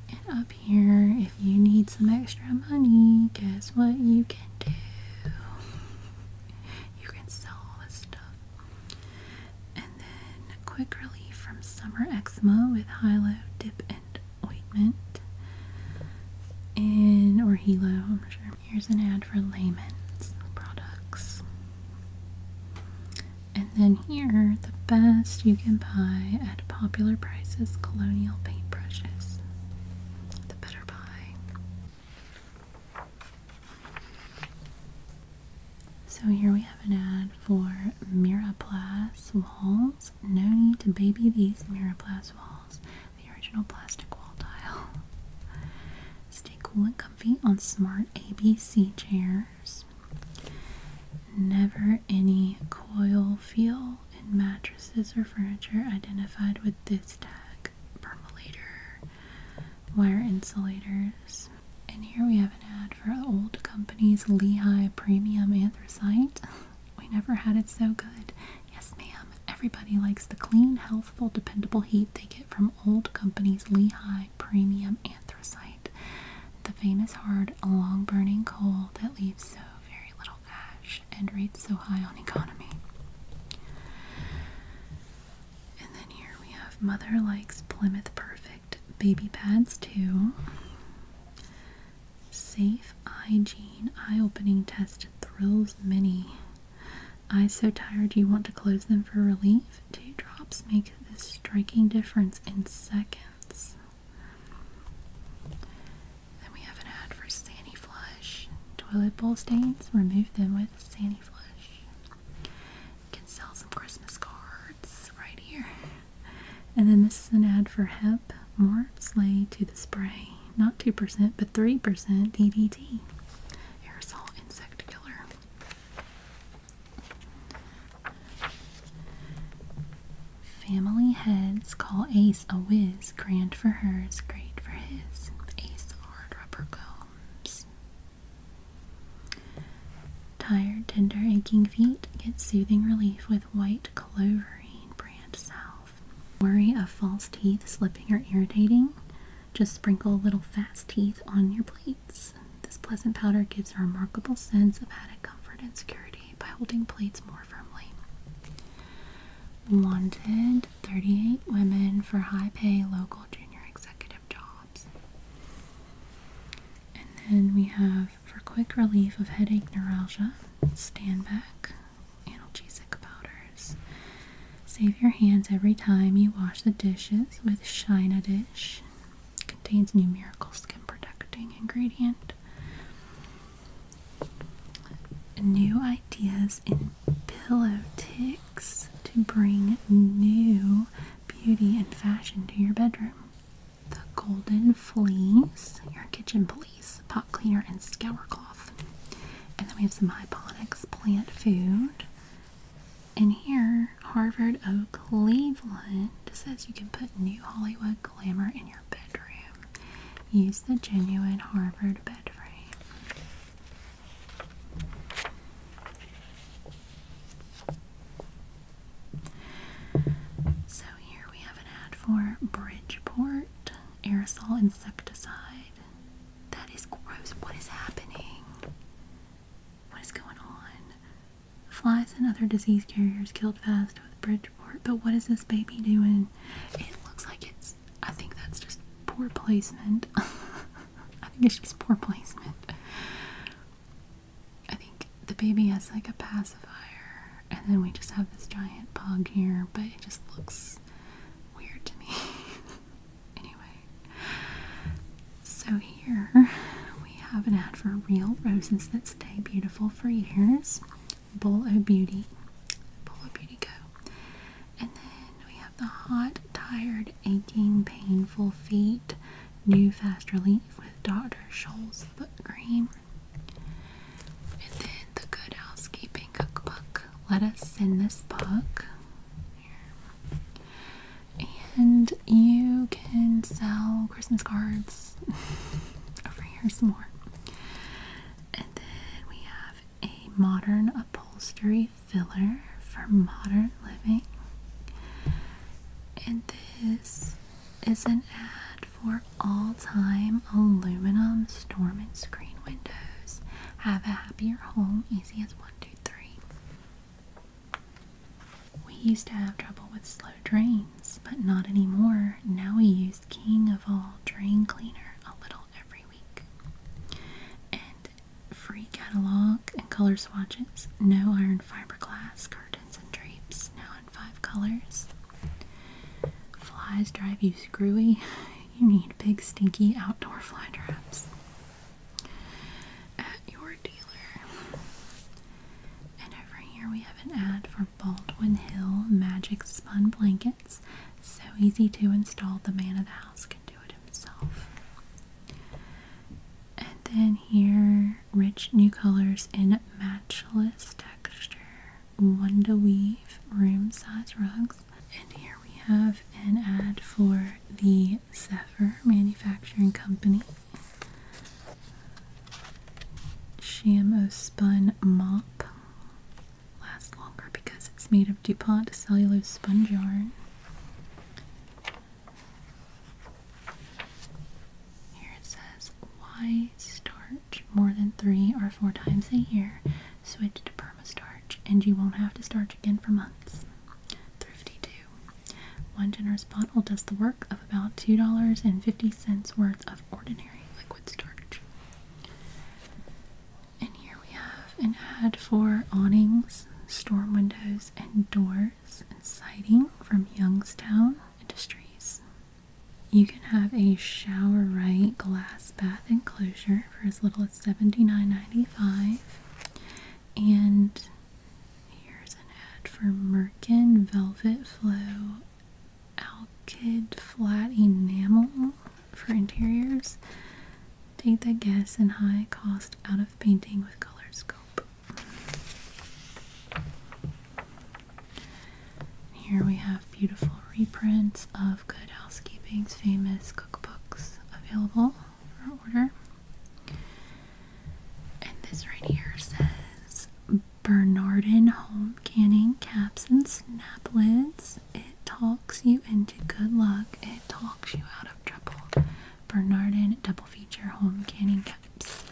And up here, if you need some extra money, guess what you can do? You can sell all the stuff. And then quick relief from summer eczema with Hilo dip and ointment. And or Hilo, I'm not sure. Here's an ad for Layman's products. And then here, the best you can buy at popular prices colonial paintbrushes. The better buy. So here we have an ad for MiraPlas walls. No need to baby these MiraPlas walls the original plastic wall tile. Stay cool and comfy on smart ABC chairs. Never any coil feel in mattresses or furniture identified with this tag. Permolator, wire insulators. And here we have an ad for old company's Lehigh Premium Anthracite. we never had it so good. Yes, ma'am. Everybody likes the clean, healthful, dependable heat they get from old company's Lehigh Premium Anthracite. The famous hard, long burning coal that leaves so very little ash and rates so high on economy. And then here we have Mother Likes Plymouth Perfect Baby Pads too. Safe Hygiene Eye Opening Test Thrills Mini. Eyes so tired you want to close them for relief. Two drops make this striking difference in seconds. Then we have an ad for Sandy Toilet bowl stains, remove them with Sandy Flush. can sell some Christmas cards right here. And then this is an ad for hemp. More slay to the spray. Not 2%, but 3% DDT aerosol insect killer. Family heads call Ace a whiz. Grand for hers, great for his. Ace hard rubber combs. Tired, tender, aching feet get soothing relief with white cloverine brand salve. Worry of false teeth slipping or irritating? Just sprinkle little fast teeth on your plates. This pleasant powder gives a remarkable sense of added comfort and security by holding plates more firmly. Wanted 38 women for high pay local junior executive jobs. And then we have for quick relief of headache neuralgia, stand back, analgesic powders. Save your hands every time you wash the dishes with Shina Dish. It contains numerical skin protecting ingredient. New ideas in pillow tics to bring new beauty and fashion to your bedroom. The golden fleece, your kitchen police, pot cleaner, and scour cloth. And then we have some hyponics plant food. And here, Harvard of Cleveland says you can put new Hollywood glamour in your bedroom. Use the genuine Harvard bed frame. So here we have an ad for Bridgeport aerosol insecticide. That is gross. What is happening? What is going on? Flies and other disease carriers killed fast with Bridgeport. But what is this baby doing? It looks like it's. I think that's just poor placement. I think it's just poor placement. I think the baby has like a pacifier, and then we just have this giant pug here, but it just looks weird to me. Anyway, so here we have an ad for real roses that stay beautiful for years. of Beauty, of Beauty Co. And then we have the hot, tired, aching, painful feet, new fast relief with Dr. Scholl's foot cream. And then the Good Housekeeping Cookbook. Let us in this book. And you can sell Christmas cards over here some more. And then we have a modern upholstery filler for modern living. And this is an ad for all-time aluminum storm and screen windows. Have a happier home is one, two, three. We used to have trouble with slow drains, but not anymore. Now we use King of All Drain Cleaner a little every week. And free catalog and color swatches, no iron fiberglass curtains and drapes, now in five colors. Flies drive you screwy. you need big, stinky outdoor fly traps at your dealer. And over here we have an ad for Baldwin Hill Magic Spun Blankets. So easy to install, the man of the house can do it himself. And then here, rich new colors in matchless texture, one to weave, room size rugs and here we have an ad for the Zephyr Manufacturing Company. Shamo Spun Mop. Lasts longer because it's made of DuPont cellulose sponge yarn. Here it says, why starch more than three or four times a year Switch to perma starch, and you won't have to starch again for months. Thrifty 2. One generous bottle does the work of about $2.50 worth of ordinary liquid starch. And here we have an ad for awnings, storm windows, and doors and siding from Youngstown Industries. You can have a shower right glass bath enclosure for as little as was $79.95. And here's an ad for Merkin Velvet Flow Alkid Flat Enamel for interiors. Take the guess and high cost out of painting with color scope. Here we have beautiful reprints of Good Housekeeping's famous cookbooks available for order. And this right here says Bernardin Home Canning Caps and Snap Lids. It talks you into good luck, it talks you out of trouble. Bernardin Double Feature Home Canning Caps.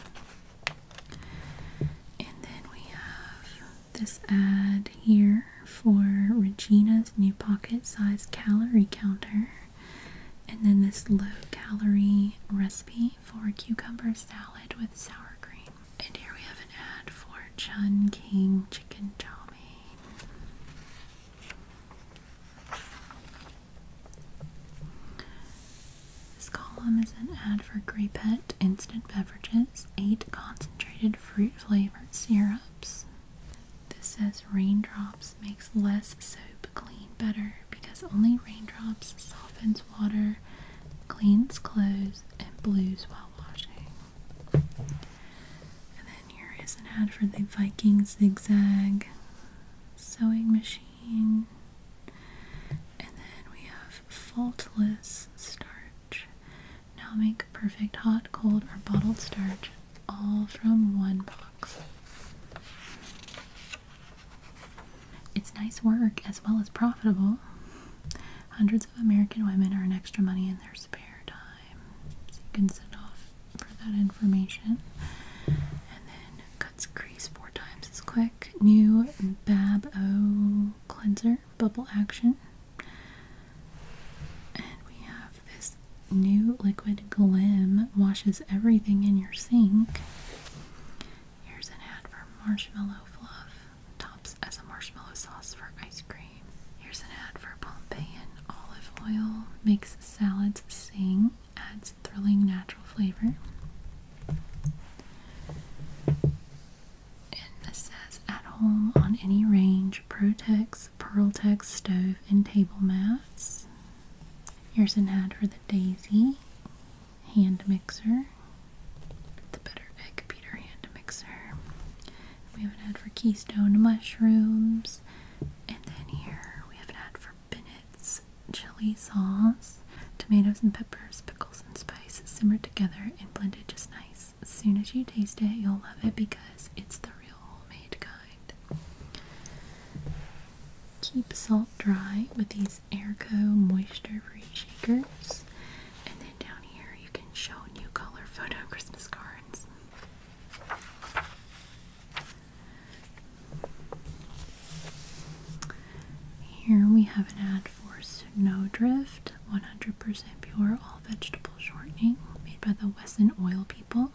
And then we have this ad here for Regina's new pocket size calorie counter. And then this low calorie recipe for cucumber salad with sour cream. And here we have an ad for Chun King Chicken Chow Mein. This column is an ad for Grapette Instant Beverages, 8 concentrated fruit flavored syrups. This says raindrops makes less soap clean better because only raindrops softens water, cleans clothes, and blues while washing. And then here is an ad for the Viking zigzag sewing machine. And then we have faultless starch. Now make perfect hot, cold, or bottled starch, all from one box. It's nice work as well as profitable. Hundreds of American women earn extra money in their spare time. So you can send off for that information. And then cuts crease four times as quick. New Bab O cleanser, bubble action. And we have this new liquid glim washes everything in your sink. Here's an ad for marshmallow fluff. Tops as a marshmallow sauce for ice cream. Here's an ad for Pompeian olive oil. Makes salads sing. Adds thrilling natural flavor. And this says at home on any range protects rugs, Pearltech stove, and table mats. Here's an ad for the Daisy hand mixer, the Better Egg Beater hand mixer. We have an ad for Keystone mushrooms, and then here we have an ad for Bennett's chili sauce. Tomatoes and peppers, pickles and spice simmered together and blended just nice. As soon as you taste it, you'll love it because it's the real homemade kind. Keep salt dry with these Airco moisture free shakers. And then down here you can show new color photo Christmas cards. Here we have an ad for Snowdrift 100% pure all vegetable shortening made by the Wesson Oil people.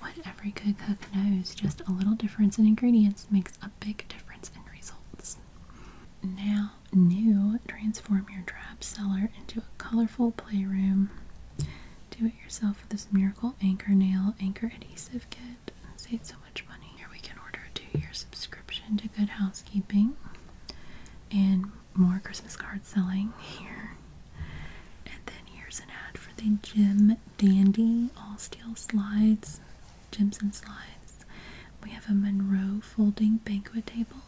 What every good cook knows, just a little difference in ingredients makes a big difference in results. Now, new, transform your drab cellar into a colorful playroom. Do it yourself with this miracle anchor nail anchor adhesive kit. Save so much money. Here we can order a two-year subscription to Good Housekeeping and more Christmas card selling here. And then here's an ad for the Jim Dandy all steel slides, gyms and slides. We have a Monroe folding banquet table.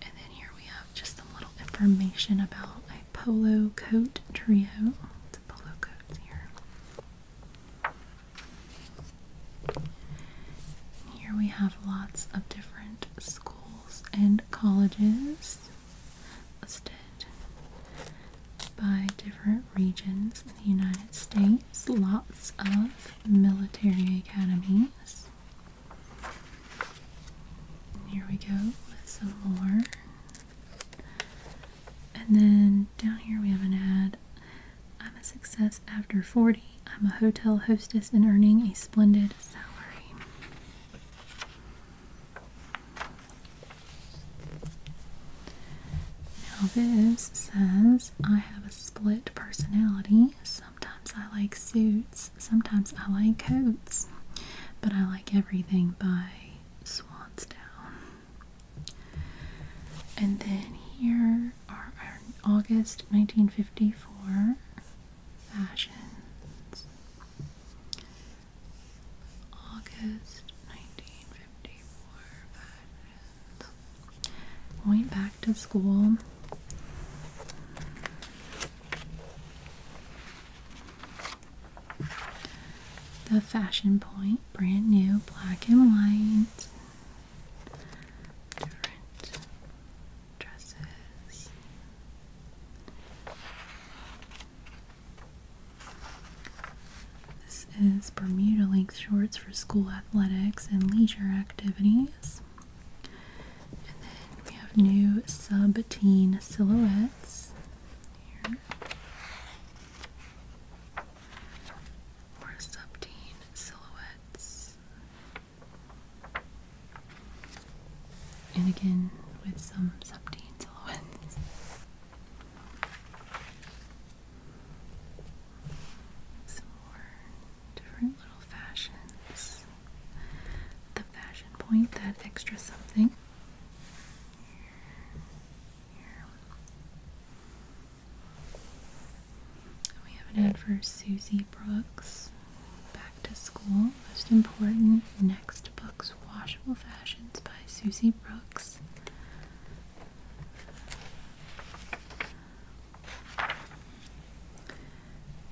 And then here we have just some little information about a polo coat trio. It's polo coat here. Here we have lots of different schools and colleges listed by different regions in the United States. Lots of military academies. Here we go with some more. And then down here we have an ad. I'm a success after 40. I'm a hotel hostess and earning a splendid salary. Now, this says I have a split personality. Sometimes I like suits, sometimes I like coats, but I like everything by Swansdown. And then here are August 1954 fashions. August 1954 fashions. Going back to school. The Fashion Point, brand new, black and white dresses. This is Bermuda length shorts for school athletics and leisure activities. And then we have new sub-teen silhouettes More sub-teen silhouettes. And again with some subtein silhouettes. Some more different little fashions. The fashion point, that extra something. we have an ad for Susie Brooks. Back to School, Most Important Next Books Washable Fashions by Susie Brooks.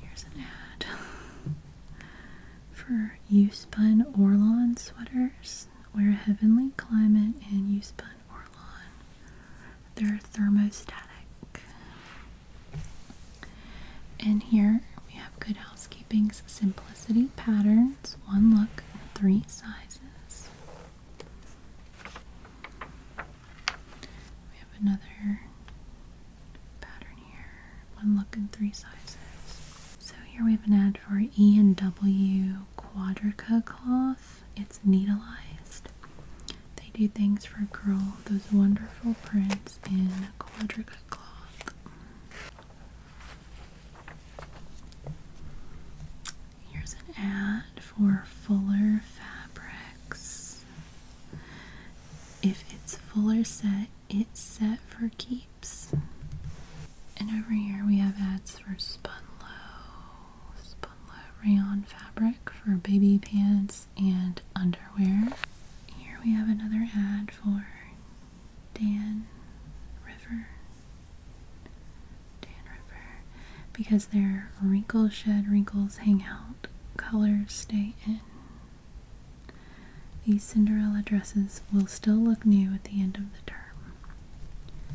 Here's an ad for You Orlon sweaters. Wear heavenly climate and You Spun Orlon. They're thermostatic. And here we have Good Housekeeping's Simplicity Patterns, one look, three sizes. We have another pattern here, one look and three sizes. So here we have an ad for E and W Quadrica cloth. It's needleized. They do things for a girl, those wonderful prints in quadriga cloth. Here's an ad for Fuller Fabrics. If it's Fuller set, it's set for keeps. And over here we have ads for spun spun Spunlow rayon fabric for baby pants, and underwear. Here we have another ad for Dan River. Dan River. Because their wrinkle shed wrinkles hang out, colors stay in. These Cinderella dresses will still look new at the end of the term.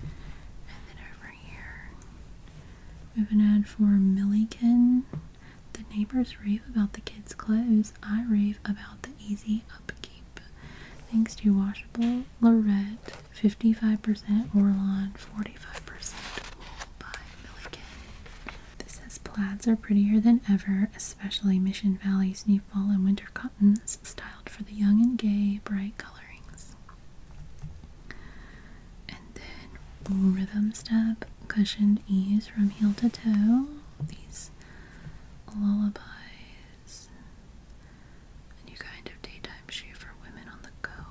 And then over here, we have an ad for Milliken the neighbors rave about the kids' clothes. I rave about the easy upkeep. Thanks to washable Lorette, 55% Orlon, 45% wool by Milliken. This says plaids are prettier than ever, especially Mission Valley's new fall and winter cottons, styled for the young and gay, bright colorings. And then rhythm step cushioned ease from heel to toe. These lullabies. new kind of daytime shoe for women on the go.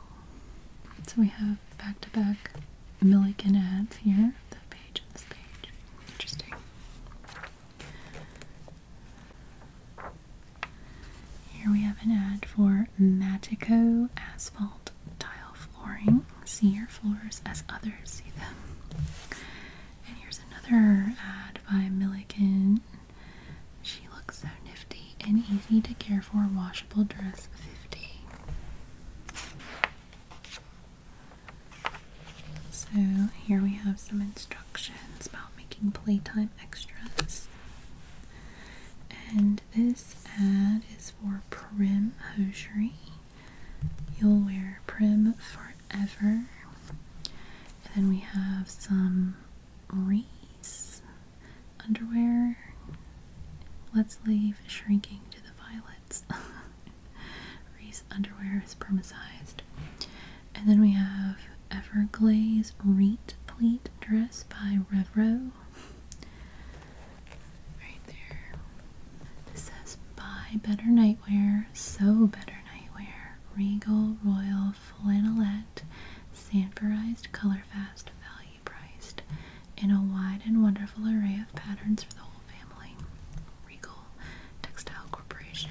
So we have back to back Milliken ads here. That page and this page. Interesting. Here we have an ad for Matico Asphalt tile flooring. See your floors as others see them. And here's another ad by Milligan. She looks so nifty and easy to care for washable dress 50. So here we have some instructions about making playtime extras. And this ad is for Prim Hosiery. You'll Wear Prim Forever. And then we have some Reese underwear. Let's leave shrinking to the violets. Reese underwear is permacized. And then we have Everglaze Reet Pleat Dress by Revro. Right there. This says buy better nightwear, sew better nightwear. Regal Royal Flannelette, Sanforized, Color Fast, Value Priced, in a wide and wonderful array of patterns for the whole family. Regal Textile Corporation.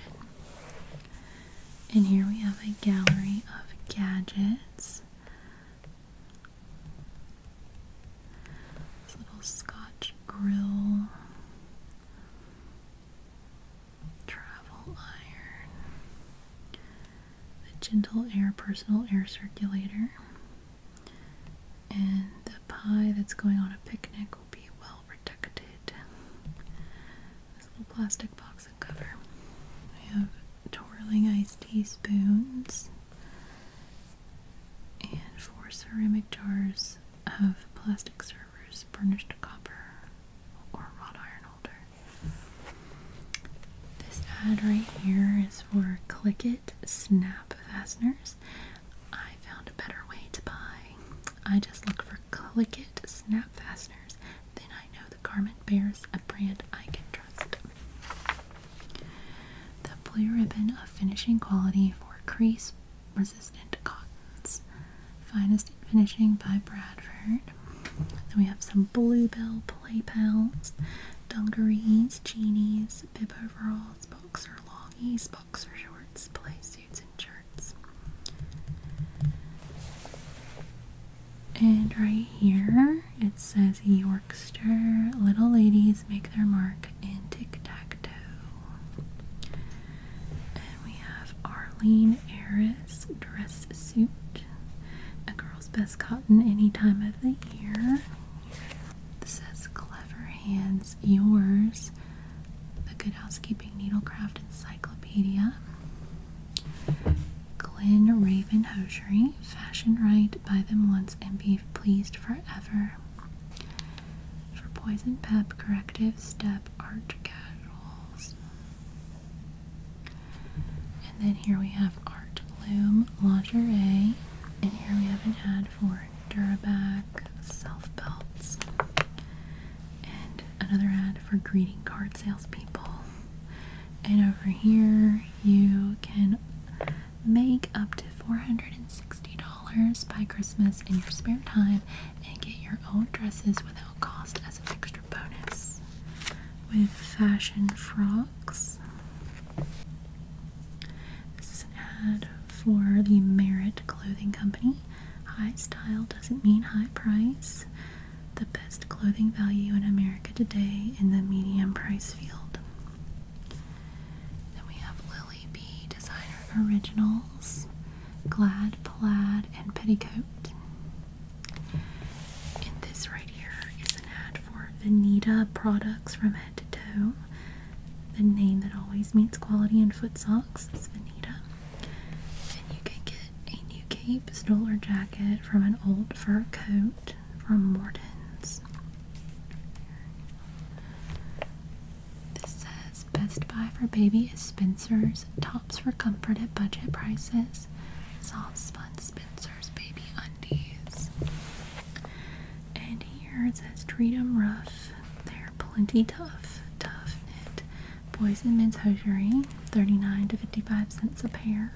And here we have a gallery of gadgets. This little Scotch grill. Travel iron. The gentle air personal air circulator. And the pie that's going on a picnic will be well protected. This little plastic box and cover. We have twirling ice teaspoons and four ceramic jars of plastic servers burnished copper or wrought iron holder. This ad right here is for Click It Snap Fasteners. I found a better way to buy. I just look for Click It Snap Fasteners, then I know the garment bears a brand I can trust. The blue ribbon of finishing quality for crease resistant cottons. Finest finishing by Bradford. Then we have some bluebell play pals, dungarees, genies, bib overalls, boxer longies, boxer shorts, play suits, and shirts. And right here it says Yorkster little ladies make their mark in tic-tac-toe. And we have Arlene Harris dress suit. A girl's best cotton any time of the year. This says clever hands yours. The Good Housekeeping Needlecraft Encyclopedia. Glenn Raven Hosiery fashion right, buy them once, and be pleased forever. For poison pep, corrective step, art casuals. And then here we have Art bloom Lingerie. And here we have an ad for Duraback self belts. And another ad for greeting card salespeople. And over here, you can Make up to $460 by Christmas in your spare time and get your own dresses without cost as an extra bonus. With fashion frocks. This is an ad for the Merit Clothing Company. High style doesn't mean high price. The best clothing value in America today in the medium price field. Then we have Lily B Designer Originals, Glad Plaid and Petticoat. And this right here is an ad for Venita products from head to toe. The name that always means quality in foot socks is Venita. And you can get a new cape, stole, or jacket from an old fur coat from Mordens. This says Best Buy for Baby is Spencer's. Tops for comfort at budget prices. Soft spun Spencer's baby undies. And here it says treat 'em rough. They're plenty tough. Tough knit. Boys and men's hosiery. 39 to 55 cents a pair.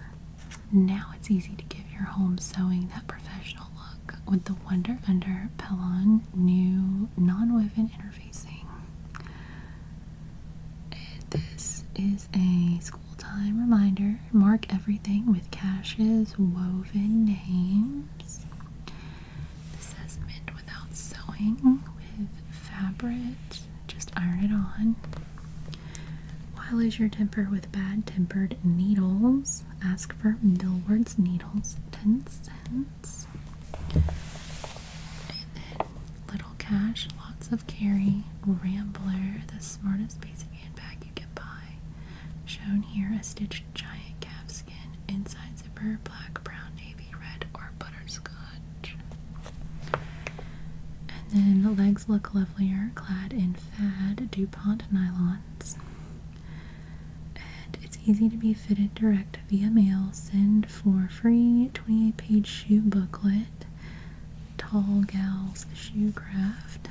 Now it's easy to give your home sewing that professional look with the Wonder Under Pellon new non-woven interfacing. this is a school time reminder. Mark everything with Cash's woven names. This says meant without sewing with fabric. Just iron it on. Why lose your temper with bad tempered needles? Ask for Millward's needles, ten cents. little cash, lots of carry. Rambler, the smartest basic handbag you can buy. Shown here, a stitched giant calfskin. Inside zipper, black, brown, navy, red, or butterscotch. And then the legs look lovelier, clad in fad DuPont nylon and it's easy to be fitted direct via mail. Send for free 28 page shoe booklet, Tall Gals Shoe Craft.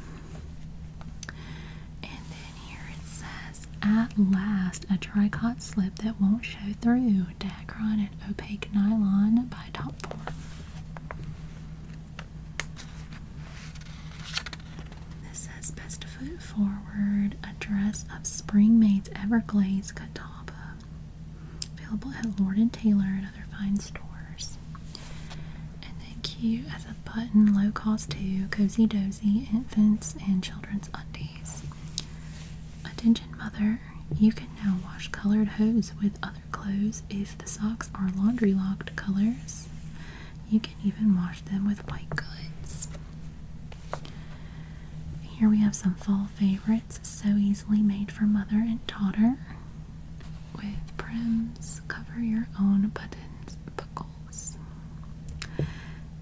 And then here it says, At last, a tricot slip that won't show through. Dacron and opaque nylon by Topform. This says best foot forward, a dress of Spring Maid's cut Catawba. Available at Lord and Taylor and other fine stores. And then cute as a button, low cost too, cozy dozy, infants and children's undies. Attention mother, you can now wash colored hose with other clothes if the socks are laundry locked colors. You can even wash them with white goods. Here we have some fall favorites, so easily made for mother and daughter. With prims, cover your own buttons, buckles.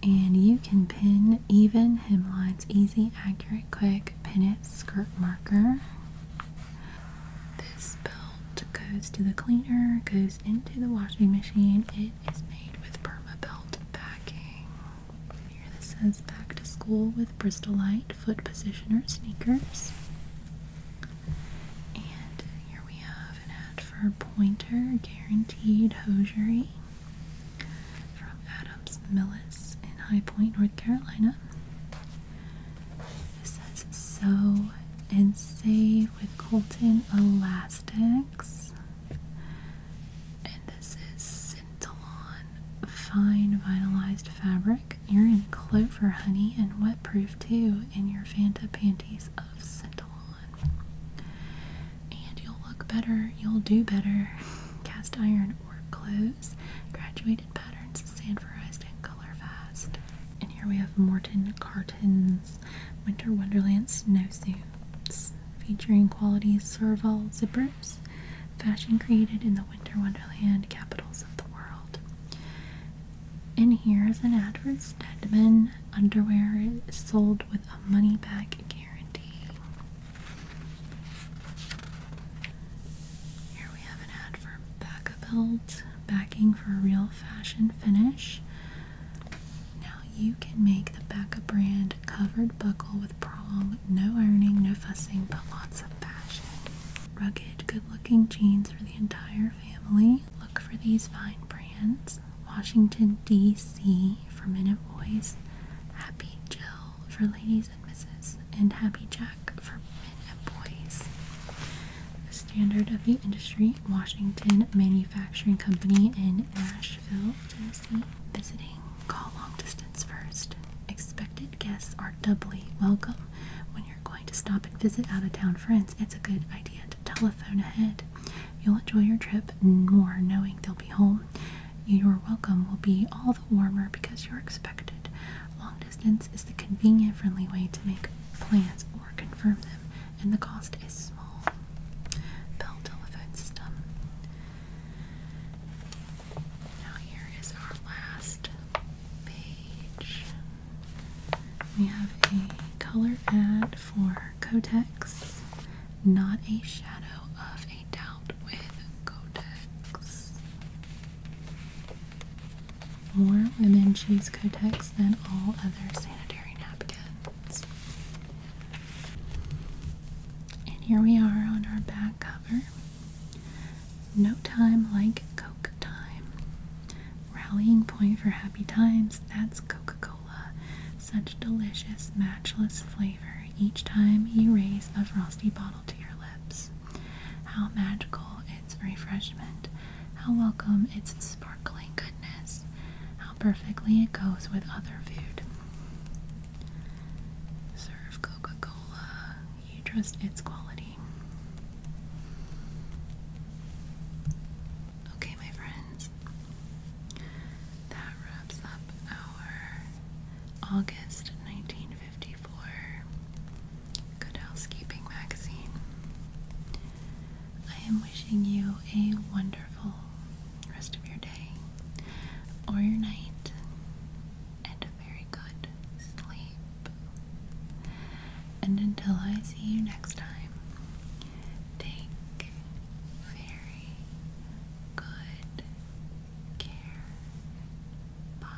And you can pin even hemlines, easy, accurate, quick, pin it skirt marker. This belt belt goes to the cleaner, goes into the washing machine. It is made with perma belt backing. Here this says back to school with Bristolite foot positioner sneakers. And here we have an ad for Pointer Guaranteed Hosiery from Adams Millis in High Point, North Carolina. This is sew and save with Colton Elastics. And this is Scintillon Fine vinylized Fabric. You're in Clover Honey and Wet Proof too in your Fanta Panties of Scintillon. And you'll look better, you'll do better. Cast iron or clothes. Graduated patterns, sand sanforized and color fast. And here we have Morton Carton. Mountains Winter Wonderland snowsuits featuring quality serval zippers, fashion created in the Winter Wonderland capitals of the world. And here's an ad for Stedman underwear sold with a money back guarantee. Here we have an ad for Vacaville backing for a real fashion finish. Now you can make the Becca brand covered buckle with prong, no ironing, no fussing, but lots of fashion. Rugged, good-looking jeans for the entire family. Look for these fine brands. Washington, D.C. for minute boys. Happy Jill for ladies and misses. And Happy Jack for minute boys standard of the industry, Washington Manufacturing Company in Nashville, Tennessee. Visiting, call long distance first. Expected guests are doubly welcome. When you're going to stop and visit out of town friends, it's a good idea to telephone ahead. You'll enjoy your trip more knowing they'll be home. Your welcome will be all the warmer because you're expected. Long distance is the convenient, friendly way to make plans or confirm them, and the cost is small. Bell telephone system. Now, here is our last page. We have a color ad for Kotex, not a shadow of a doubt with Kotex. More women choose Kotex than all other sanitary napkins. And here we are on our back cover. No time like Coke time. Rallying point for happy times, that's Coca Cola. Such delicious, matchless flavor each time you raise a frosty bottle to your lips. How magical its refreshment, how welcome its sparkling goodness, how perfectly it goes with other food. Serve Coca Cola, you trust its quality. Okay, my friends, that wraps up our August 1954 Good Housekeeping Magazine. I am wishing you a wonderful rest of your day or your night and a very good sleep. And until I see you next time, take very good care. Bye.